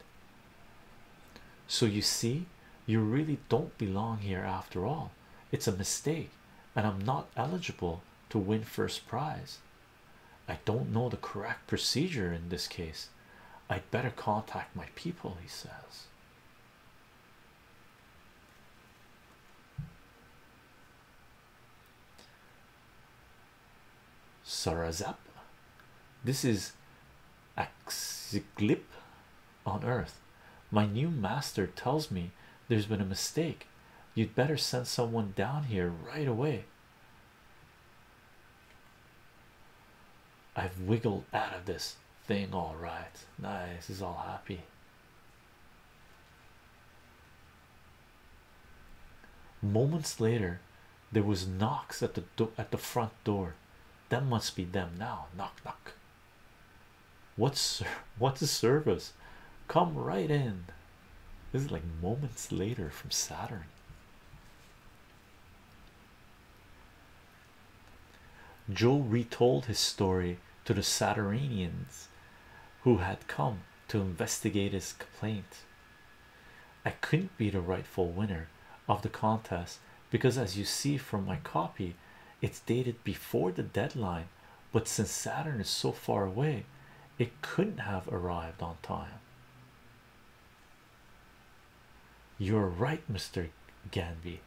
[SPEAKER 2] So you see, you really don't belong here after all. It's a mistake, and I'm not eligible to win first prize. I don't know the correct procedure in this case. I'd better contact my people, he says. Sarazap, This is Axiclip on Earth. My new master tells me there's been a mistake. You'd better send someone down here right away. I've wiggled out of this thing, all right. Nice, he's all happy. Moments later, there was knocks at the at the front door door. That must be them now. Knock, knock. What's what's the service? Come right in. This is like moments later from Saturn. Joe retold his story to the Saturnians who had come to investigate his complaint. I couldn't be the rightful winner of the contest because, as you see from my copy, it's dated before the deadline. But since Saturn is so far away, it couldn't have arrived on time. You're right, Mr. Ganby.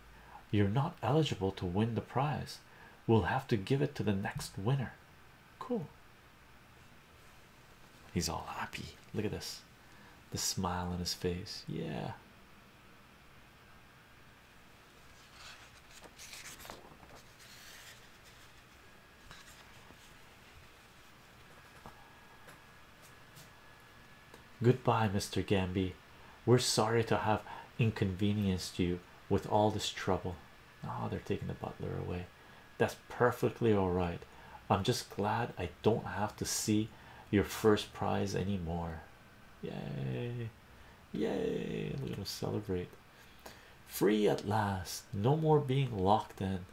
[SPEAKER 2] You're not eligible to win the prize. We'll have to give it to the next winner. Cool. He's all happy. Look at this the smile on his face. Yeah. Goodbye, Mr. Gambi. We're sorry to have inconvenienced you with all this trouble. Ah, oh, they're taking the butler away. That's perfectly all right. I'm just glad I don't have to see your first prize anymore. Yay! Yay! We're gonna celebrate. Free at last, no more being locked in.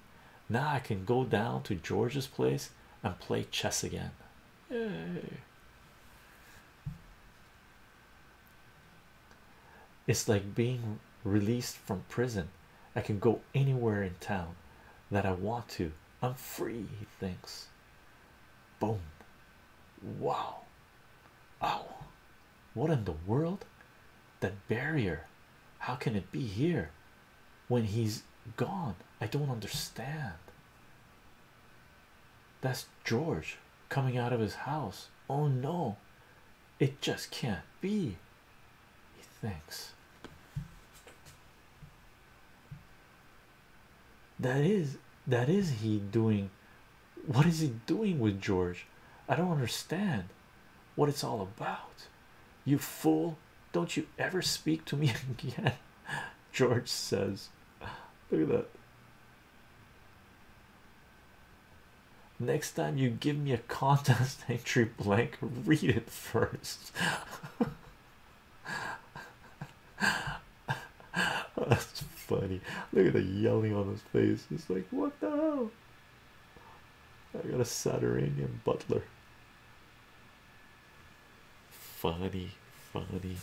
[SPEAKER 2] Now I can go down to George's place and play chess again.
[SPEAKER 1] Yay!
[SPEAKER 2] It's like being released from prison. I can go anywhere in town that I want to I'm free, he thinks. Boom. Wow. Oh, what in the world? That barrier. How can it be here when he's gone? I don't understand. That's George coming out of his house. Oh no, it just can't be. He thinks that is that is he doing what is he doing with george i don't understand what it's all about you fool don't you ever speak to me again george says look at that next time you give me a contest entry blank read it first That's funny. Look at the yelling on his face. He's like,
[SPEAKER 1] What the hell?
[SPEAKER 2] I got a Saturnian butler. Funny, funny.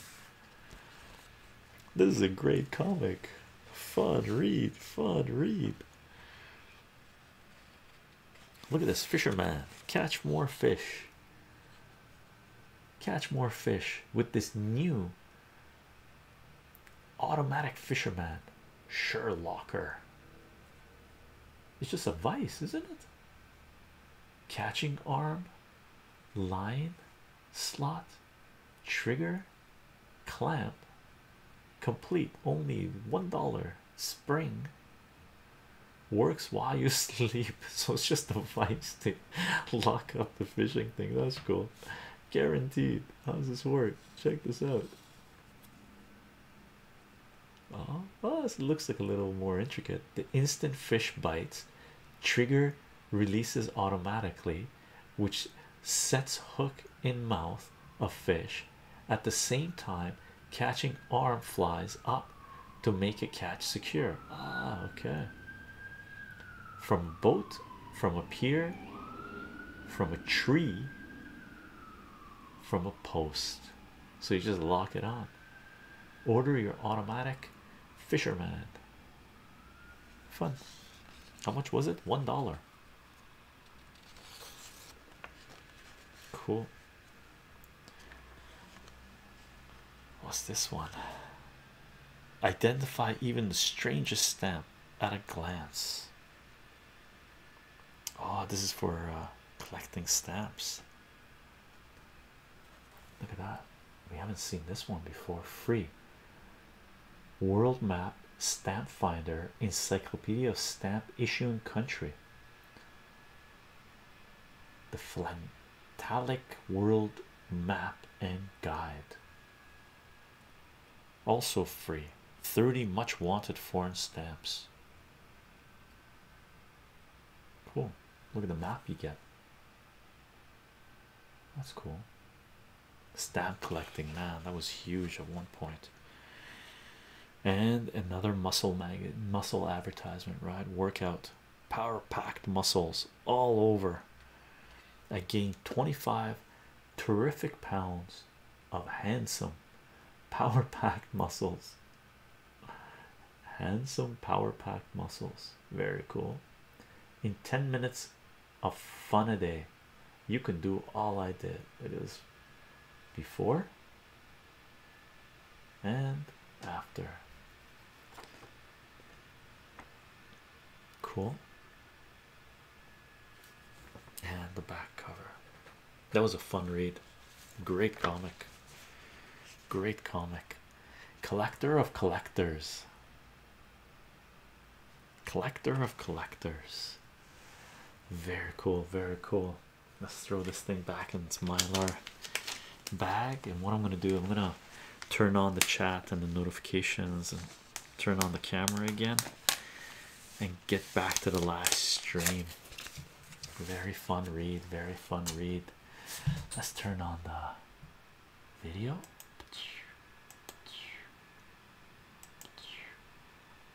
[SPEAKER 2] This is a great comic. Fun read, fun read. Look at this fisherman catch more fish catch more fish with this new automatic fisherman Sherlocker. It's just a vice, isn't it? Catching arm, line, slot, trigger, clamp, complete only one dollar, spring, works while you sleep so it's just a vice to lock up the fishing thing that's cool guaranteed how does this work check this out oh, oh this looks like a little more intricate the instant fish bites trigger releases automatically which sets hook in mouth of fish at the same time catching arm flies up to make a catch secure. Ah, okay. From boat, from a pier, from a tree, from a post. So you just lock it on. Order your automatic fisherman. Fun. How much was it? One dollar. Cool. What's this one? Identify even the strangest stamp at a glance. Oh, this is for uh, collecting stamps. Look at that. We haven't seen this one before. Free world map, stamp finder, encyclopedia of stamp issuing country. The Flan Talic World Map and Guide. Also free 30 much wanted foreign stamps. Cool. Look at the map you get. That's cool. Stamp collecting, man, that was huge at one point. And another muscle maggot muscle advertisement, right? Workout power packed muscles all over. I gained 25 terrific pounds of handsome power packed muscles. Handsome power packed muscles, very cool. In 10 minutes of fun a day, you can do all I did. It is before and after cool and the back cover that was a fun read great comic great comic collector of collectors collector of collectors very cool very cool let's throw this thing back into mylar bag and what i'm going to do i'm going to turn on the chat and the notifications and turn on the camera again and get back to the last stream very fun read very fun read let's turn on the video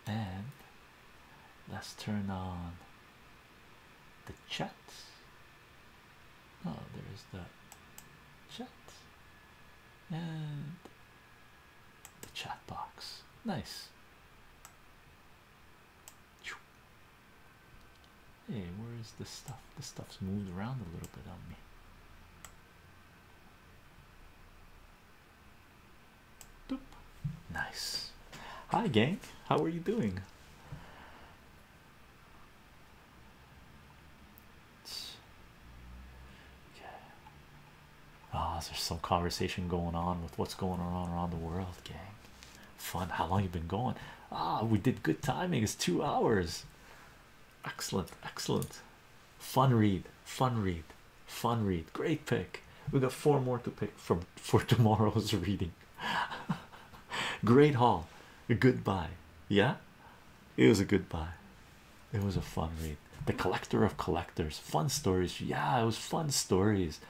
[SPEAKER 2] and let's turn on the chat. Oh, there's the chat and the chat box. Nice. Hey, where is the stuff? The stuff's moved around a little bit on me. Doop. Nice. Hi, gang. How are you doing? Okay. Ah, there's some conversation going on with what's going on around the world, gang. Fun. How long you been going? Ah, we did good timing. It's two hours. Excellent, excellent. Fun read, fun read, fun read. Great pick. We got four more to pick from for tomorrow's reading. Great haul. Goodbye. Yeah, it was a goodbye. It was a fun read. The collector of collectors. Fun stories. Yeah, it was fun stories.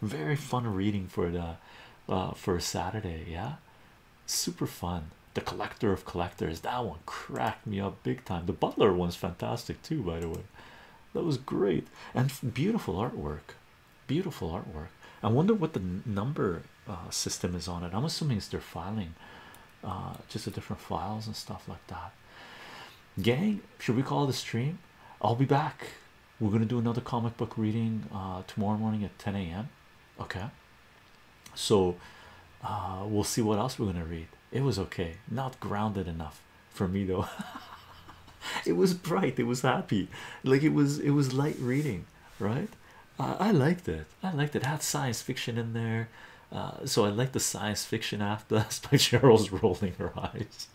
[SPEAKER 2] Very fun reading for the uh, for Saturday. Yeah, super fun. The collector of collectors. That one cracked me up big time. The butler one's fantastic too, by the way. That was great and beautiful artwork. Beautiful artwork. I wonder what the number uh, system is on it. I'm assuming it's are filing, uh, just the different files and stuff like that. Gang, should we call the stream? I'll be back. We're gonna do another comic book reading uh, tomorrow morning at 10 a.m. Okay, so we'll see what else we're gonna read. It was okay, not grounded enough for me though. it was bright. It was happy. Like it was. It was light reading right? I liked it. I liked it. Had science fiction in there, uh, so I like the science fiction after us. But Cheryl's rolling her eyes.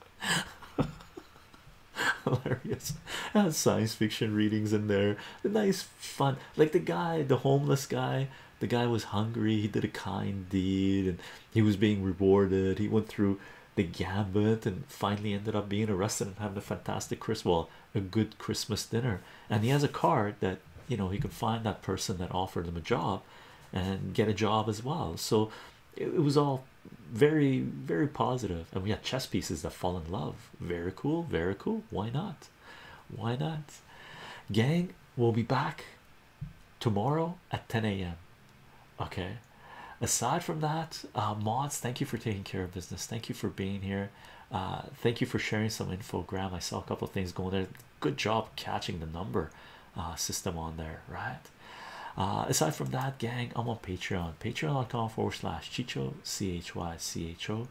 [SPEAKER 2] Hilarious. had science fiction readings in there. Nice, fun. Like the guy, the homeless guy. The guy was hungry. He did a kind deed, and he was being rewarded. He went through the gambit and finally ended up being arrested and having a fantastic Christmas, well a good Christmas dinner and he has a card that you know he can find that person that offered him a job and get a job as well so it, it was all very very positive and we had chess pieces that fall in love very cool very cool why not why not gang we'll be back tomorrow at 10 a.m okay aside from that uh, mods thank you for taking care of business thank you for being here uh, thank you for sharing some infogram i saw a couple things going there good job catching the number uh, system on there right aside from that gang i'm on patreon patreon.com forward slash chicho c-h-y-c-h-o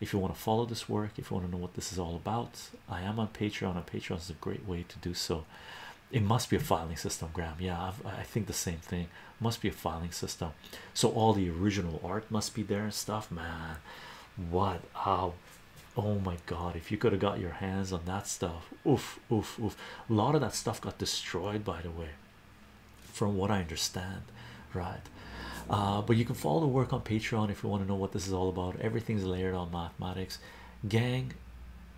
[SPEAKER 2] if you want to follow this work if you want to know what this is all about i am on patreon and patreon is a great way to do so it must be a filing system Graham. yeah i think the same thing must be a filing system so all the original art must be there and stuff man what how oh my god if you could have got your hands on that stuff oof oof oof a lot of that stuff got destroyed by the way from what i understand right uh, but you can follow the work on patreon if you want to know what this is all about everything's layered on mathematics gang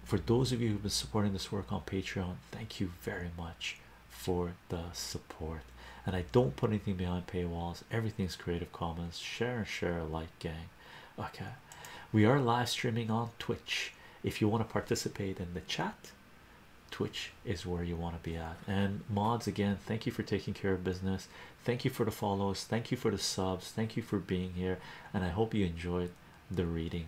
[SPEAKER 2] for those of you who've been supporting this work on patreon thank you very much for the support. And I don't put anything behind paywalls, everything's Creative Commons. Share and share alike, gang. Okay, we are live streaming on Twitch. If you want to participate in the chat, Twitch is where you want to be at. And mods, again, thank you for taking care of business. Thank you for the follows. Thank you for the subs. Thank you for being here. And I hope you enjoyed the reading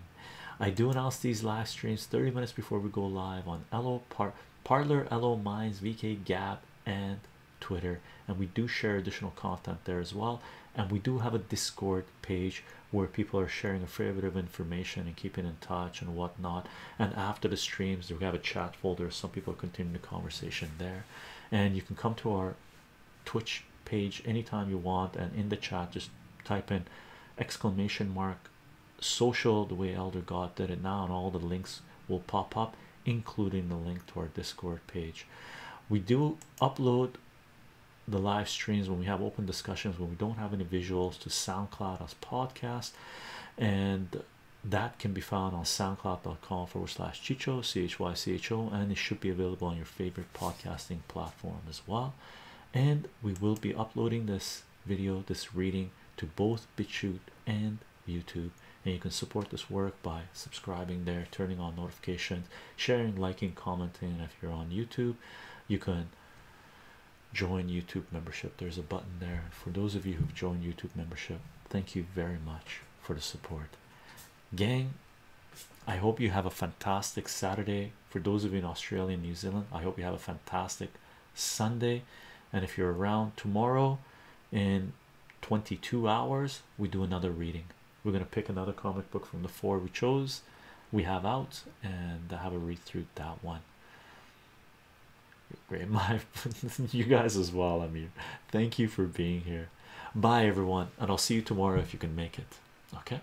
[SPEAKER 2] I do announce these live streams 30 minutes before we go live on LO Par Parlor, LO Minds, VK Gap, and Twitter. And we do share additional content there as well. And we do have a Discord page where people are sharing a fair bit of information and keeping in touch and whatnot. And after the streams, we have a chat folder. Some people continue the conversation there. And you can come to our Twitch page anytime you want. And in the chat, just type in exclamation mark social the way elder god did it now and all the links will pop up including the link to our discord page we do upload the live streams when we have open discussions when we don't have any visuals to soundcloud as podcast and that can be found on soundcloud.com forward slash chicho chycho and it should be available on your favorite podcasting platform as well and we will be uploading this video this reading to both BitChute and YouTube and you can support this work by subscribing there turning on notifications sharing liking commenting if you're on YouTube you can join YouTube membership there's a button there for those of you who've joined YouTube membership thank you very much for the support gang I hope you have a fantastic Saturday for those of you in Australia and New Zealand I hope you have a fantastic Sunday, and if you're around tomorrow in 22 hours, we do another reading. We're going to pick another comic book from the four we chose, we have out, and have a read through that one. Great, my you guys as well. I mean, thank you for being here. Bye, everyone, and I'll see you tomorrow if you can make it.
[SPEAKER 1] Okay.